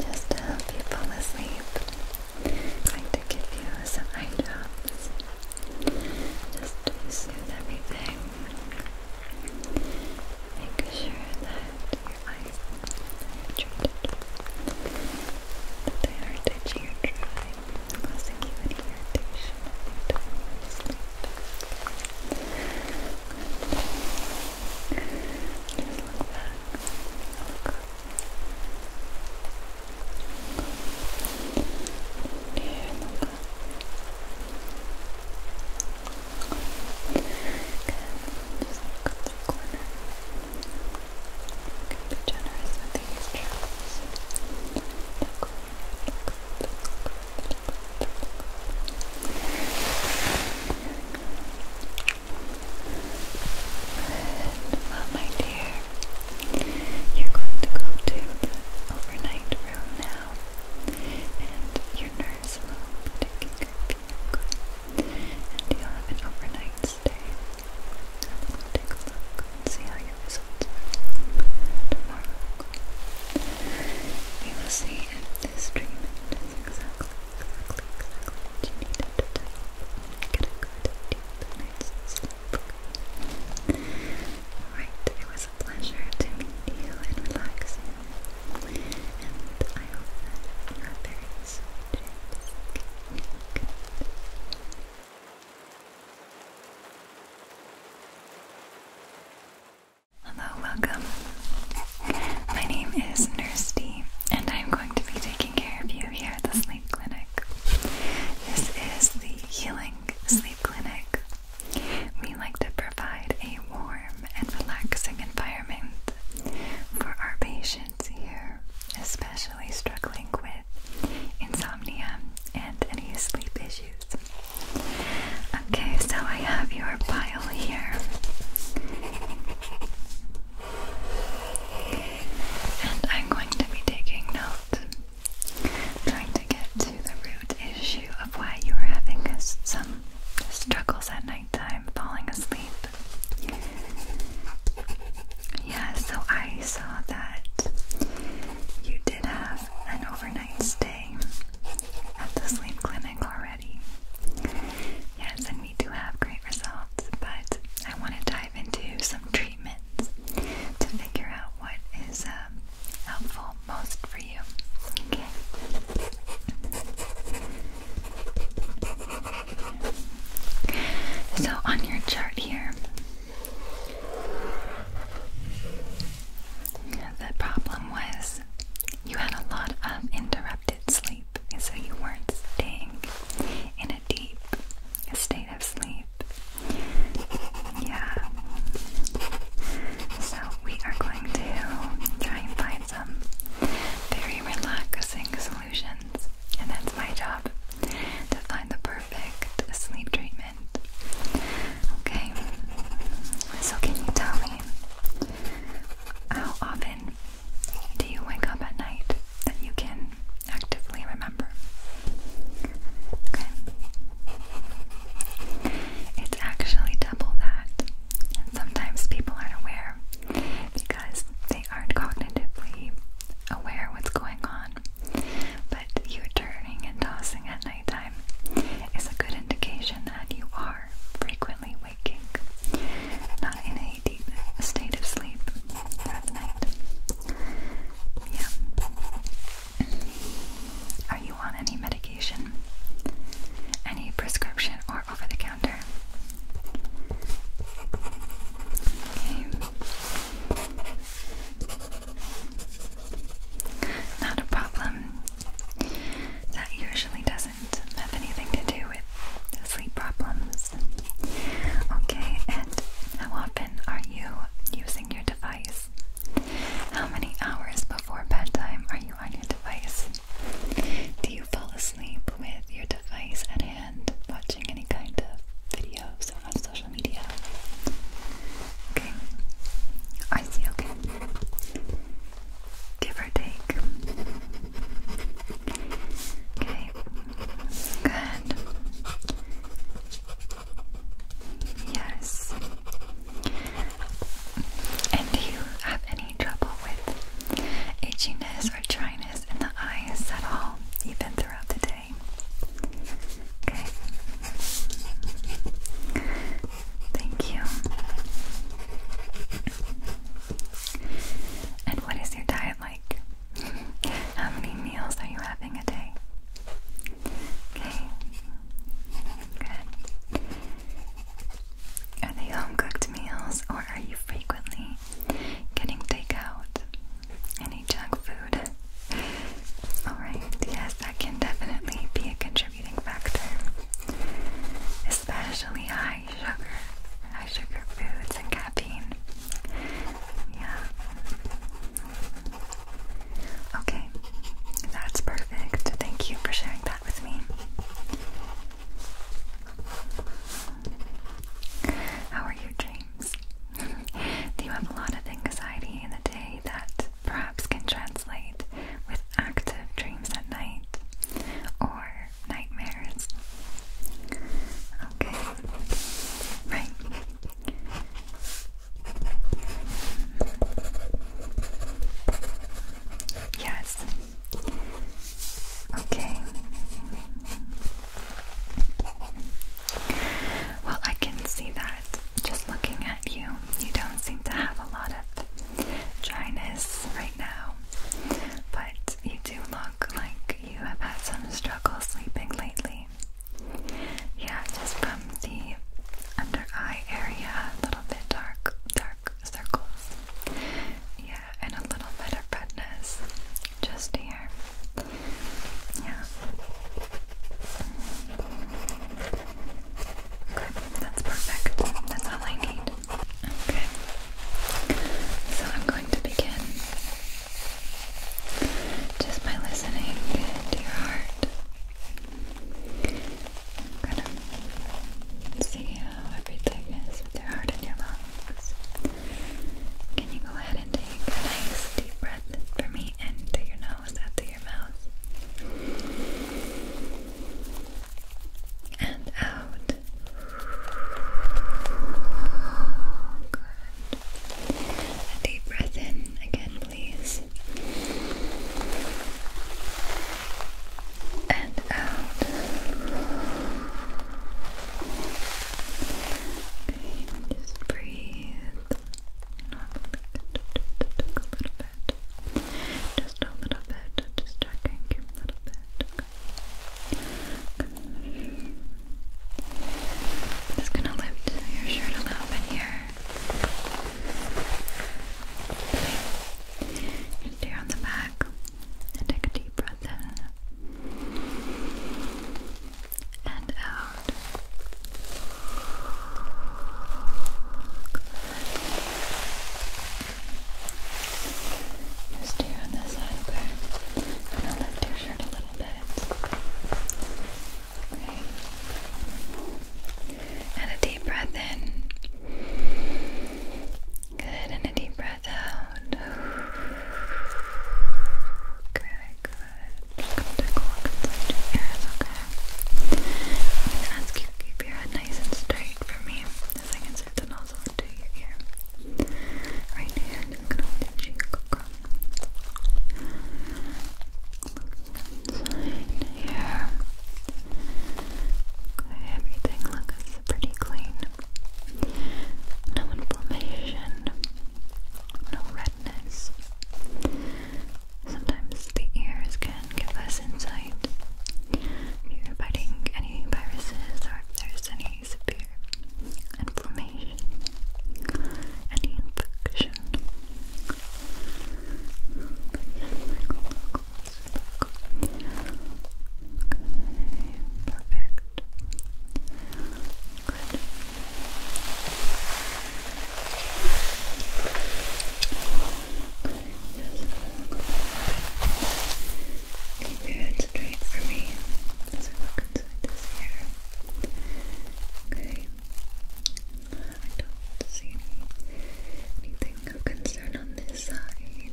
just to help you fall asleep, I'm going to give you some eye drops just to soothe everything. Make sure that your eyes are treated, that they are touching your dry causing you not want to sleep. Just look back. Look Here, look up. Good. Just look up the corner. You can well, my dear, you're going to go to the overnight room now, and your nerves will be care of you, okay? And you have an overnight Wednesday. we'll take a look and see how your results tomorrow. We will see if this treatment is exactly, what you needed to get a good night's sleep. Alright, it was a pleasure to meet and relax And I hope that you Hello, welcome. My name is Nurse D, and I'm going to be taking care of you here at the Sleep Clinic. This is the Healing Sleep Clinic. We like to provide a warm and relaxing environment for our patients here, especially struggling with insomnia and any sleep issues. Okay, so I have your pile here. And I'm going to be taking note, trying to get to the root issue of why you are having some struggles at nighttime, falling asleep. Yeah, so I saw that you did have an overnight stay at the sleep clinic already. Yes, and we do have great results, but I want to dive into some treatments to figure out what is um, helpful most for you. Okay. So, on your chart here, the problem was you had a lot of interrupted sleep, and so you weren't staying in a deep state of sleep. Yeah. So we are going to try and find some very relaxing solutions, and that's my job to find the perfect sleep treatment. Okay, so can you tell me how often do you wake up at night that you can actively remember? Okay, it's actually double that, and sometimes people aren't aware because they aren't cognitively aware what's going on, but you are turning and tossing at nighttime is a good indication that you are frequently waking, not in a deep state of sleep throughout night. Yeah. Are you on any medication? Any prescription or over the counter? Okay. Not a problem. That usually doesn't have anything to do with sleep problems. Okay, and how often are you using your device? How many hours before bedtime are you on your device? Do you fall asleep with your device at hand, watching any kind of video? videos on social media. Okay, I see, okay. Give or take. Okay, good. Yes. And do you have any trouble with itchiness or dryness in the eyes at all, even throughout the day? today. Okay. Thank you. And what is your diet like? How many meals are you having a day? Okay. Good. Are they home cooked meals or are you frequently getting takeout? any junk food. Alright, yes, that can definitely be a contributing factor. Especially high sugar, high sugar foods and caffeine. Yeah. Okay, that's perfect. Thank you for sharing that with me. How are you doing? Do *laughs* you have a lot of anxiety in the day that perhaps can translate with active dreams at night or nightmares? Okay, right. Yes. Okay. Well, I can see that just looking at you, you don't seem to have a lot of dryness right now. But you do look like you have had some struggle sleeping lately. Yeah, just from the under eye area, a little bit dark, dark circles. Yeah, and a little bit of redness just here. Yeah. Okay, that's perfect. That's all I need. Okay. So I'm going to begin just by listening to your heart. I'm gonna see how everything is with your heart and your lungs. Can you go ahead and take a nice deep breath for me? the end your nose out to your mouth and out. Good. A deep breath in again, please. And out. Okay, just breathe normally a little bit, just a little bit, just you a little bit. Okay. i just gonna lift your shirt a little bit here. Okay. on the back, and take a deep breath in and out. Just here on this side, okay? I'm lift your shirt a little bit. Okay. And a deep breath in. Good, and a deep breath out. Good, good just gonna take a look your ears, okay? I'm gonna ask you to keep your head nice and straight for me as I insert the nozzle into your ear. Right here, I'm just gonna hold your cheek here. everything looks pretty clean. No inflammation, no red softness. Sometimes the ears can give us insight if you're fighting any viruses or if there's any severe inflammation, any infection. Okay, perfect. Good. Keep your head straight for me as I look inside this hair. Okay. I don't see anything of concern on this side.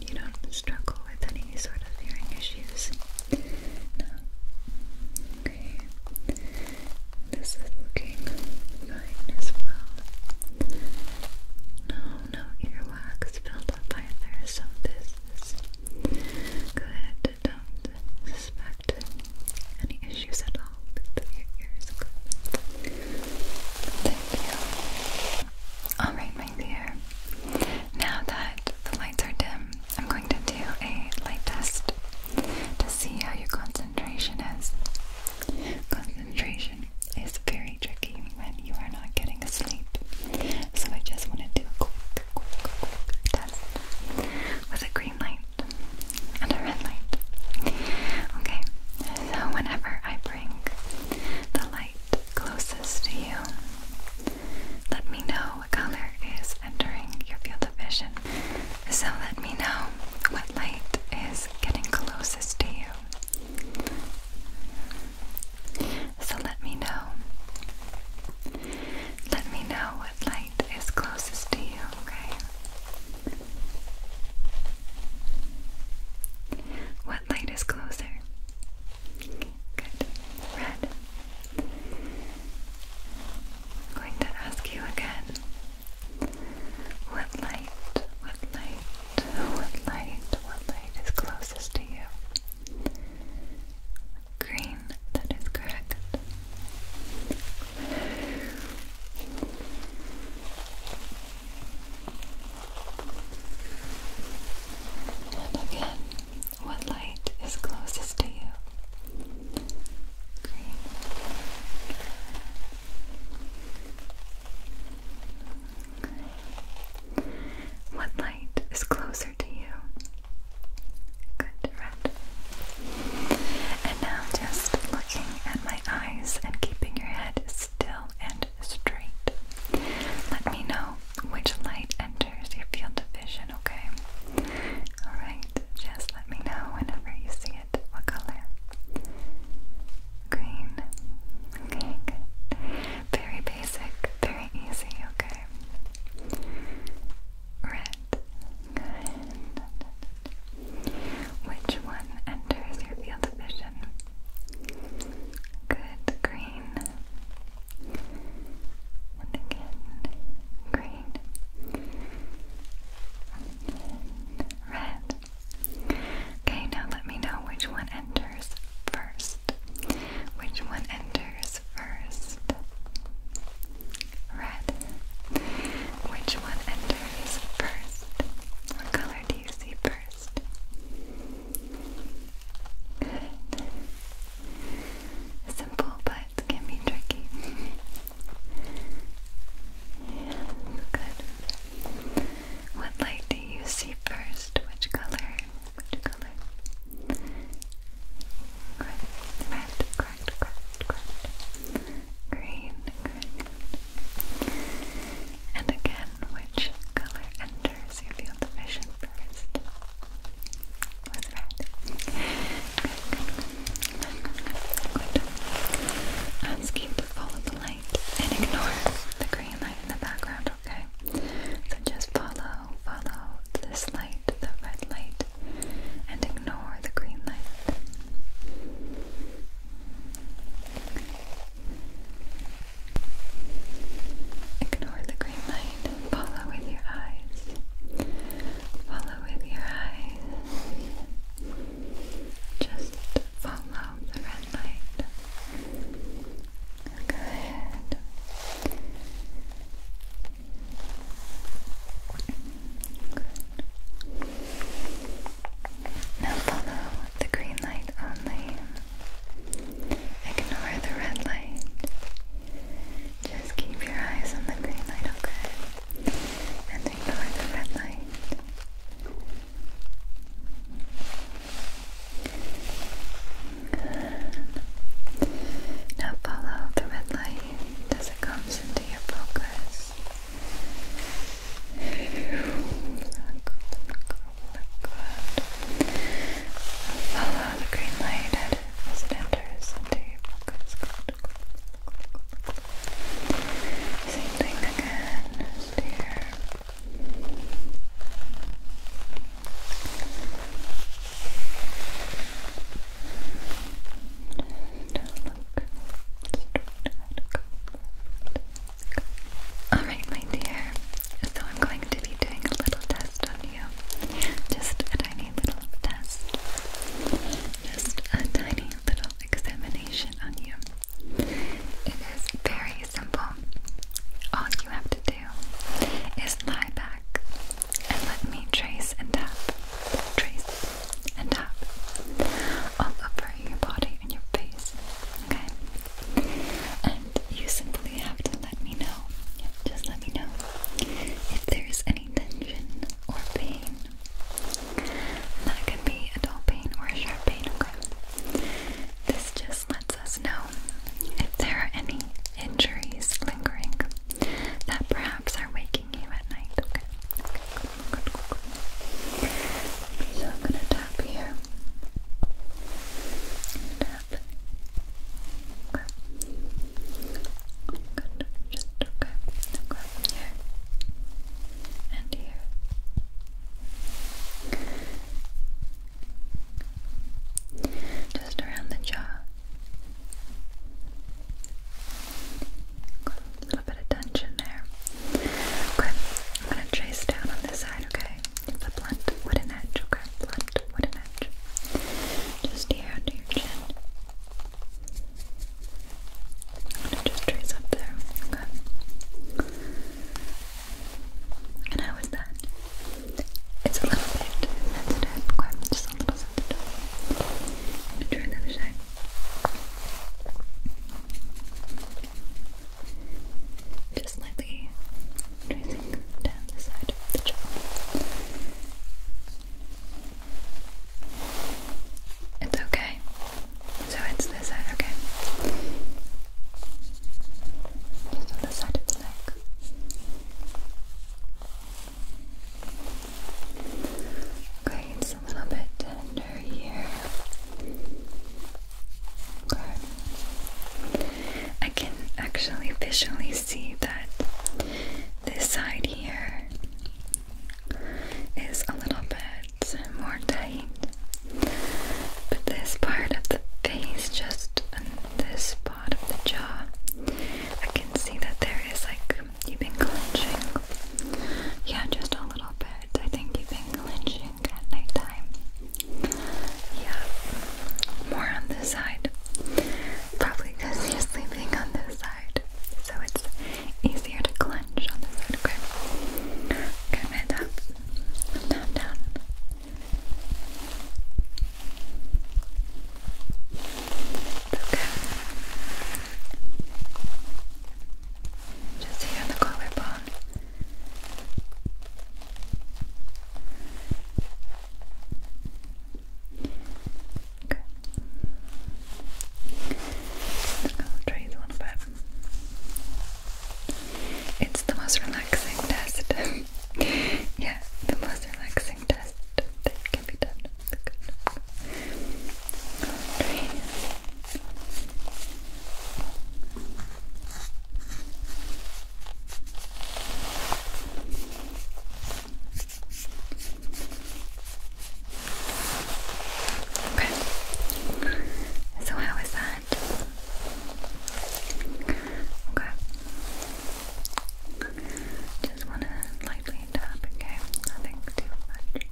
You don't struggle with any sort of hearing issues. No. Okay. This is looking fine as well. No, no earwax built either, so this is good. Don't suspect any issues at all with your ears. Thank you. Alright, my dear. Now that the lights are dim, I'm going to do a light test to see how your concentration is. Concentration is very tricky when you are not getting asleep, so I just want to do a quick, quick, quick test with a green light and a red light. Okay, so whenever I bring the light closest to you, let me know what color is entering your field of vision. So let me know what light is getting closest to you. So let me know. Let me know what light is closest to you, okay? What light is closer? Good. Red. I'm going to ask you again. What light, what light, what light, what light is closest to you? Green, that is correct. And again, what light is closest to you? Green. What light is closer to you? Good, red. And now just looking at my eyes and keeping your head still and straight. Let me know which light enters enters your field of vision, okay? Alright, just let me know whenever you see it. What color? Green. Okay, Very basic, very easy, okay? Red. Which one enters your field of vision? Good. Green green again green red. Okay, now let me know which one enters first. Which one enters first? Red. Which one enters first? What color do you see first? Simple, but can be tricky. good. What light do you see first? Which color? Which color? red, correct, correct, correct. Green, correct. And again, which color enters? You feel the vision first was right. Good, good, Ask you to follow the light and ignore the green light in the background, okay? So just follow, follow this light, the red light, and ignore the green light. Ignore the green light. Follow with your eyes. Follow with your eyes. Just follow the red light. Good. Good. Now follow the green light only. Ignore the red light. Just keep your eyes on the green light, okay? And ignore the red light. Now follow the red light as it comes into your focus. Follow the green light as it enters into your Alright, my dear. So I'm going to be doing a little test on you. Just a tiny tiny little test. Just a tiny little examination on you. It is very simple. All you have to do is lie back and let me trace and tap, trace and tap all over your body and your face. Okay? And you simply simply have to let me know. Just let me know if there's any tension or pain. And that could be a dull pain or a sharp pain, okay? This just lets us know if there are any injuries lingering that perhaps are waking you at night, okay? okay good, good, good, So I'm gonna tap here. Uh, Okay. Good. Just okay. Grab here and here. Just around the jaw. a little bit of tension there. Okay, I'm gonna trace down on this side, okay? The blunt wooden edge, okay? What a match. Just here under your chin. I'm gonna just trace up there. Okay. And how is that? It's a little bit sensitive. Okay, just a little sensitive. I'm gonna try another side. Just slightly it's okay. So it's this side, okay. Just on the side of the neck. Okay, it's a little bit tender here. Okay. I can actually visually see that this side here is a little bit more tight, but this part of the face, just on this part of the jaw, I can see that there is like you've been clenching. Yeah, just a little bit. I think you've been clenching at night time. Yeah, more on this side. Probably because you're sleeping on this side, so it's easier to clench on this side. Okay. Okay, my top, down, down. It's okay. Just here on the collarbone. Okay. Just going try it a little bit. It's the most relaxing test. *laughs* yeah, the most relaxing test that can be done. Okay. Okay. So how is that? Okay. Just wanna lightly tap, okay? Nothing too much. Okay.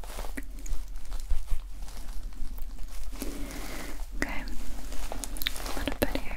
A little bit here.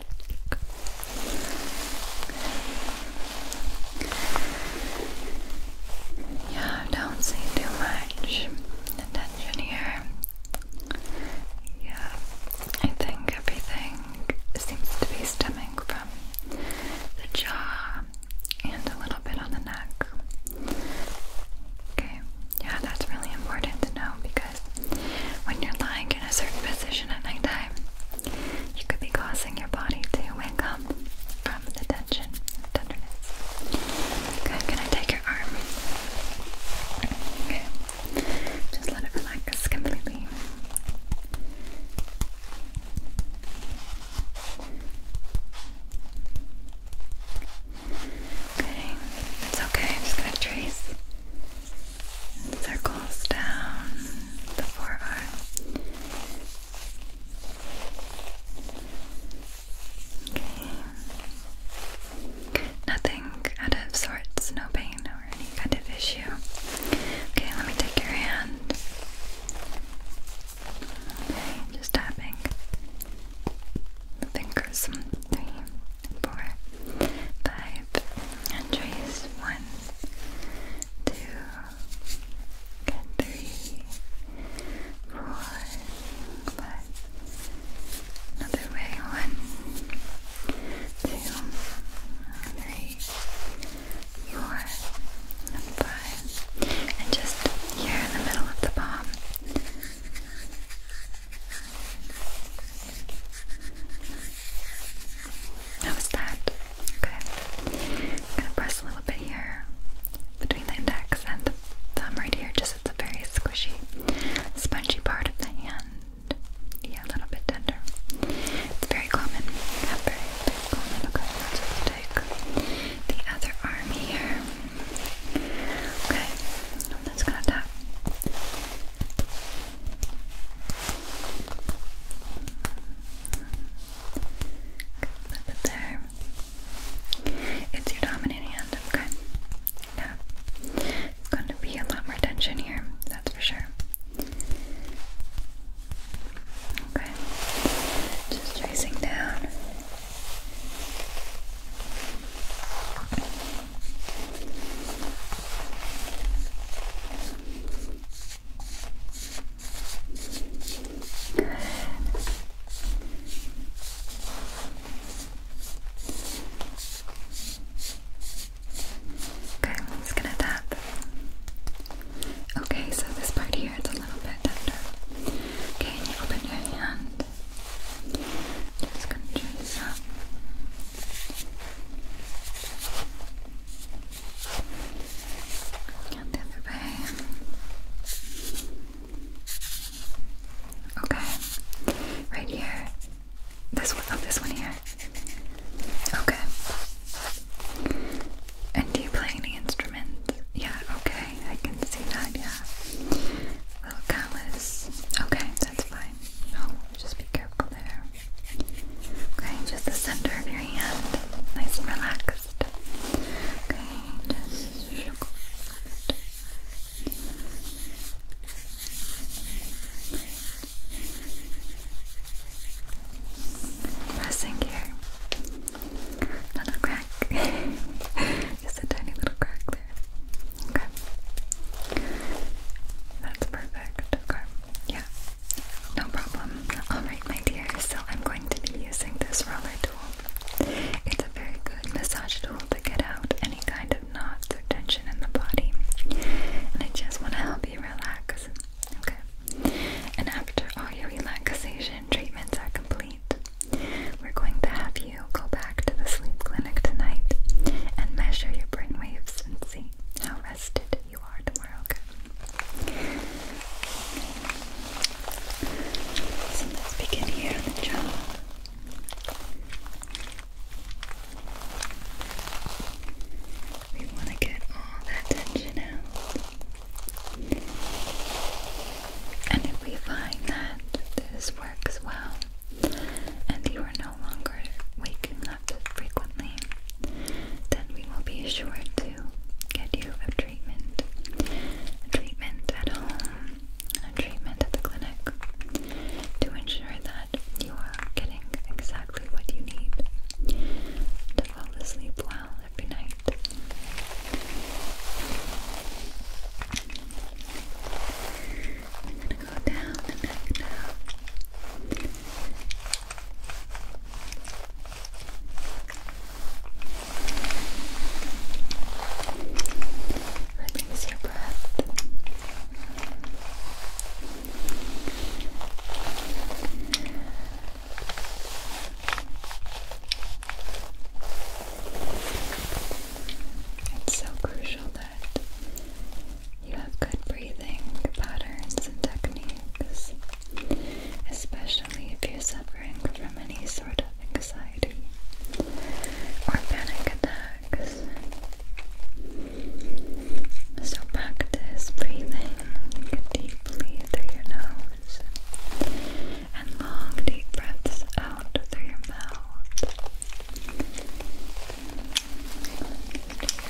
Yeah, I don't see too much tension here. Yeah, I think everything seems to be stemming from the jaw and a little bit on the neck. Okay, yeah, that's really important to know because when you're lying in a certain position at nighttime, you could be causing your body to wake up from the tension and tenderness. Okay, can I take your arm? Okay, just let it relax completely. Okay, it's okay. just gonna trace and circles down the forearm. Okay. Nothing out of sorts, no pain or any kind of issue. Okay, let me take your hand. Okay, just tapping fingers. Three, four, five, and trace. One, two, Good. Three, four, five. Another way. One, two, three, four, And just here in the middle of the palm. How that? Okay. gonna press a little bit here between the index and thumb right here, just at the very squishy, spongy part of the hand. Yeah, a little bit tender. It's very common. very, common. Okay, let's take the other arm here. Okay, I'm just tap. Flip there. It's your dominant hand, okay? Yeah. It's going to be a lot more tension here, that's for sure. Okay. Just tracing down. Okay, I'm just gonna tap. Okay, so this part here is a little bit tender. Okay, and you open your hand. Just gonna do some. Get the other way. Okay. Right here. This one. Oh, this one here. Okay. And do you play any instruments? Yeah, okay. I can see that, yeah. Little callus. Okay, that's fine. Oh, just be careful there. Okay, just the center of your hand, nice and relaxed. Okay, just shook it. Pressing here. crack. *laughs* just a tiny little crack there. Okay. That's perfect. Okay. Yeah. No problem. Alright, my dear, so I'm going to be using this roller tool. It's a very good massage tool to get out any kind of knots or tension in the body. And I just want to help you relax. Okay? And after all your relaxation treatments are complete, we're going to have you go back to the sleep clinic tonight and measure your brain waves and see how rested you are tomorrow, okay? So let's begin here on the jaw. We want to get all that tension out. And if we find that this works well, and you are no longer waking frequently, then we will be sure to get you a treatment. treatment at home, a treatment at the clinic, to ensure that you are getting exactly what you need to fall asleep well every night. I'm gonna go down the neck now. Release your breath. It's so crucial that you have good breathing patterns and techniques, especially if you're suffering from any sort of anxiety or panic attacks. So, practice breathing deeply through your nose and long, deep breaths out through your mouth.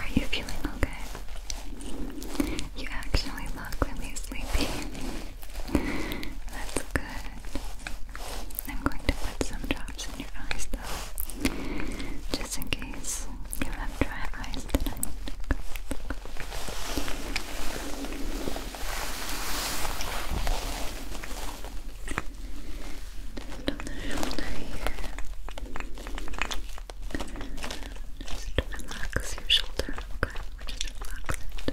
Are you feeling okay? You actually look really sleepy. That's good. I'm going to put some drops in your eyes though, just in case you have dry eyes tonight. Just on the just relax your shoulder, okay? Just relax it.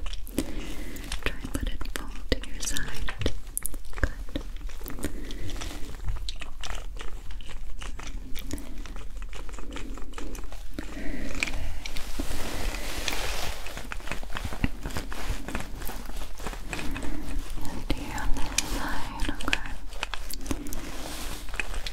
Try and let it fall to your side. Good. and here on this side, okay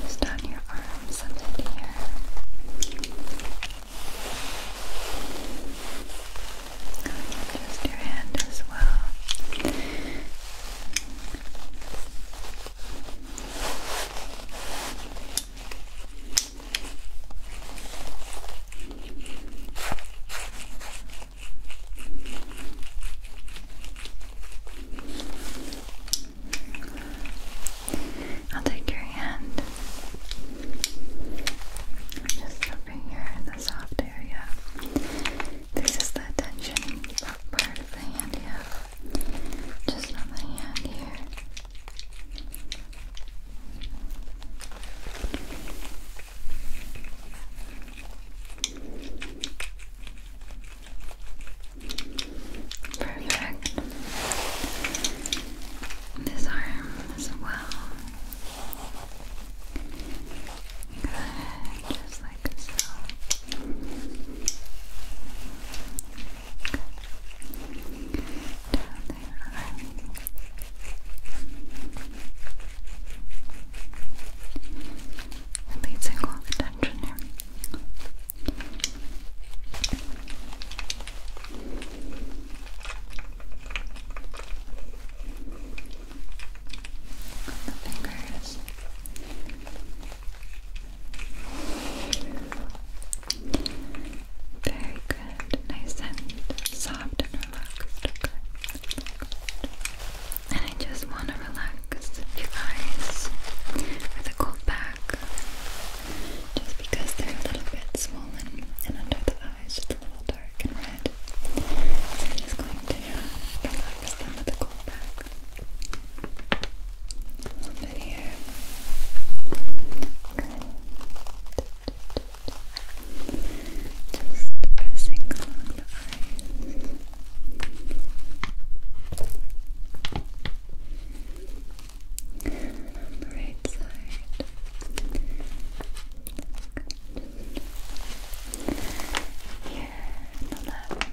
Just on your arms a bit here. Just your hand as well. I'll take your hand just over here in the soft area. This is the tension part of the hand you Just on the hand here. Perfect. This arm as well. just like so. Down there. Releasing all the here. fingers. Very good. Nice and soft and I just want to relax you guys with a cold pack just because they're a little bit swollen and under the eyes just a little dark and red. So I'm just going to relax them with a cold pack. A here. Just pressing along the eyes. the right side. Just here on the left.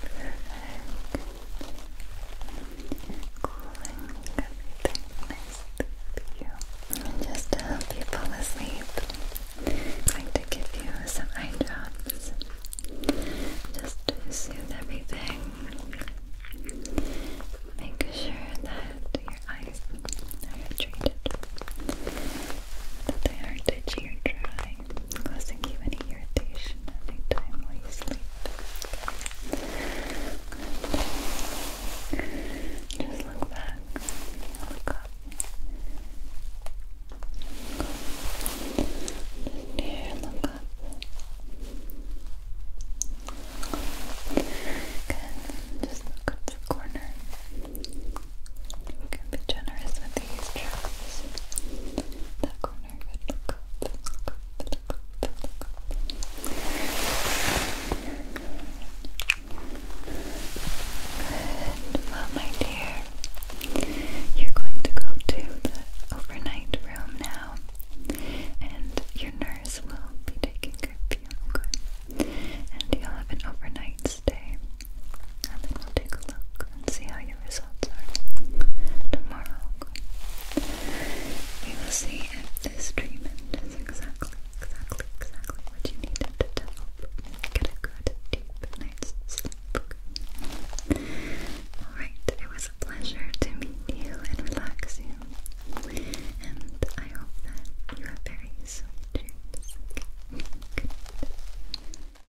Perfect. Cooling everything nice to you. And just to help you fall asleep, I'm to give you some eye drops. Just to soothe everything. Make sure that your eyes are treated. That they aren't itchy or dry causing you any irritation any while you sleep. Good. Just look back, look up. Look here, look up. Good. Just look up the corner. You can be generous with these traps. Well, my dear, you're going to go to the overnight room now, and your nurse will be taking care of you, And you'll have an overnight Wednesday, and then we'll take a look and see how your results are tomorrow. We will see if this treatment is exactly, exactly, exactly what you needed to help get a good, deep night's sleep. Alright, it was a pleasure to meet you and relax you. And I hope that you have very sweet dreams. Okay. Good.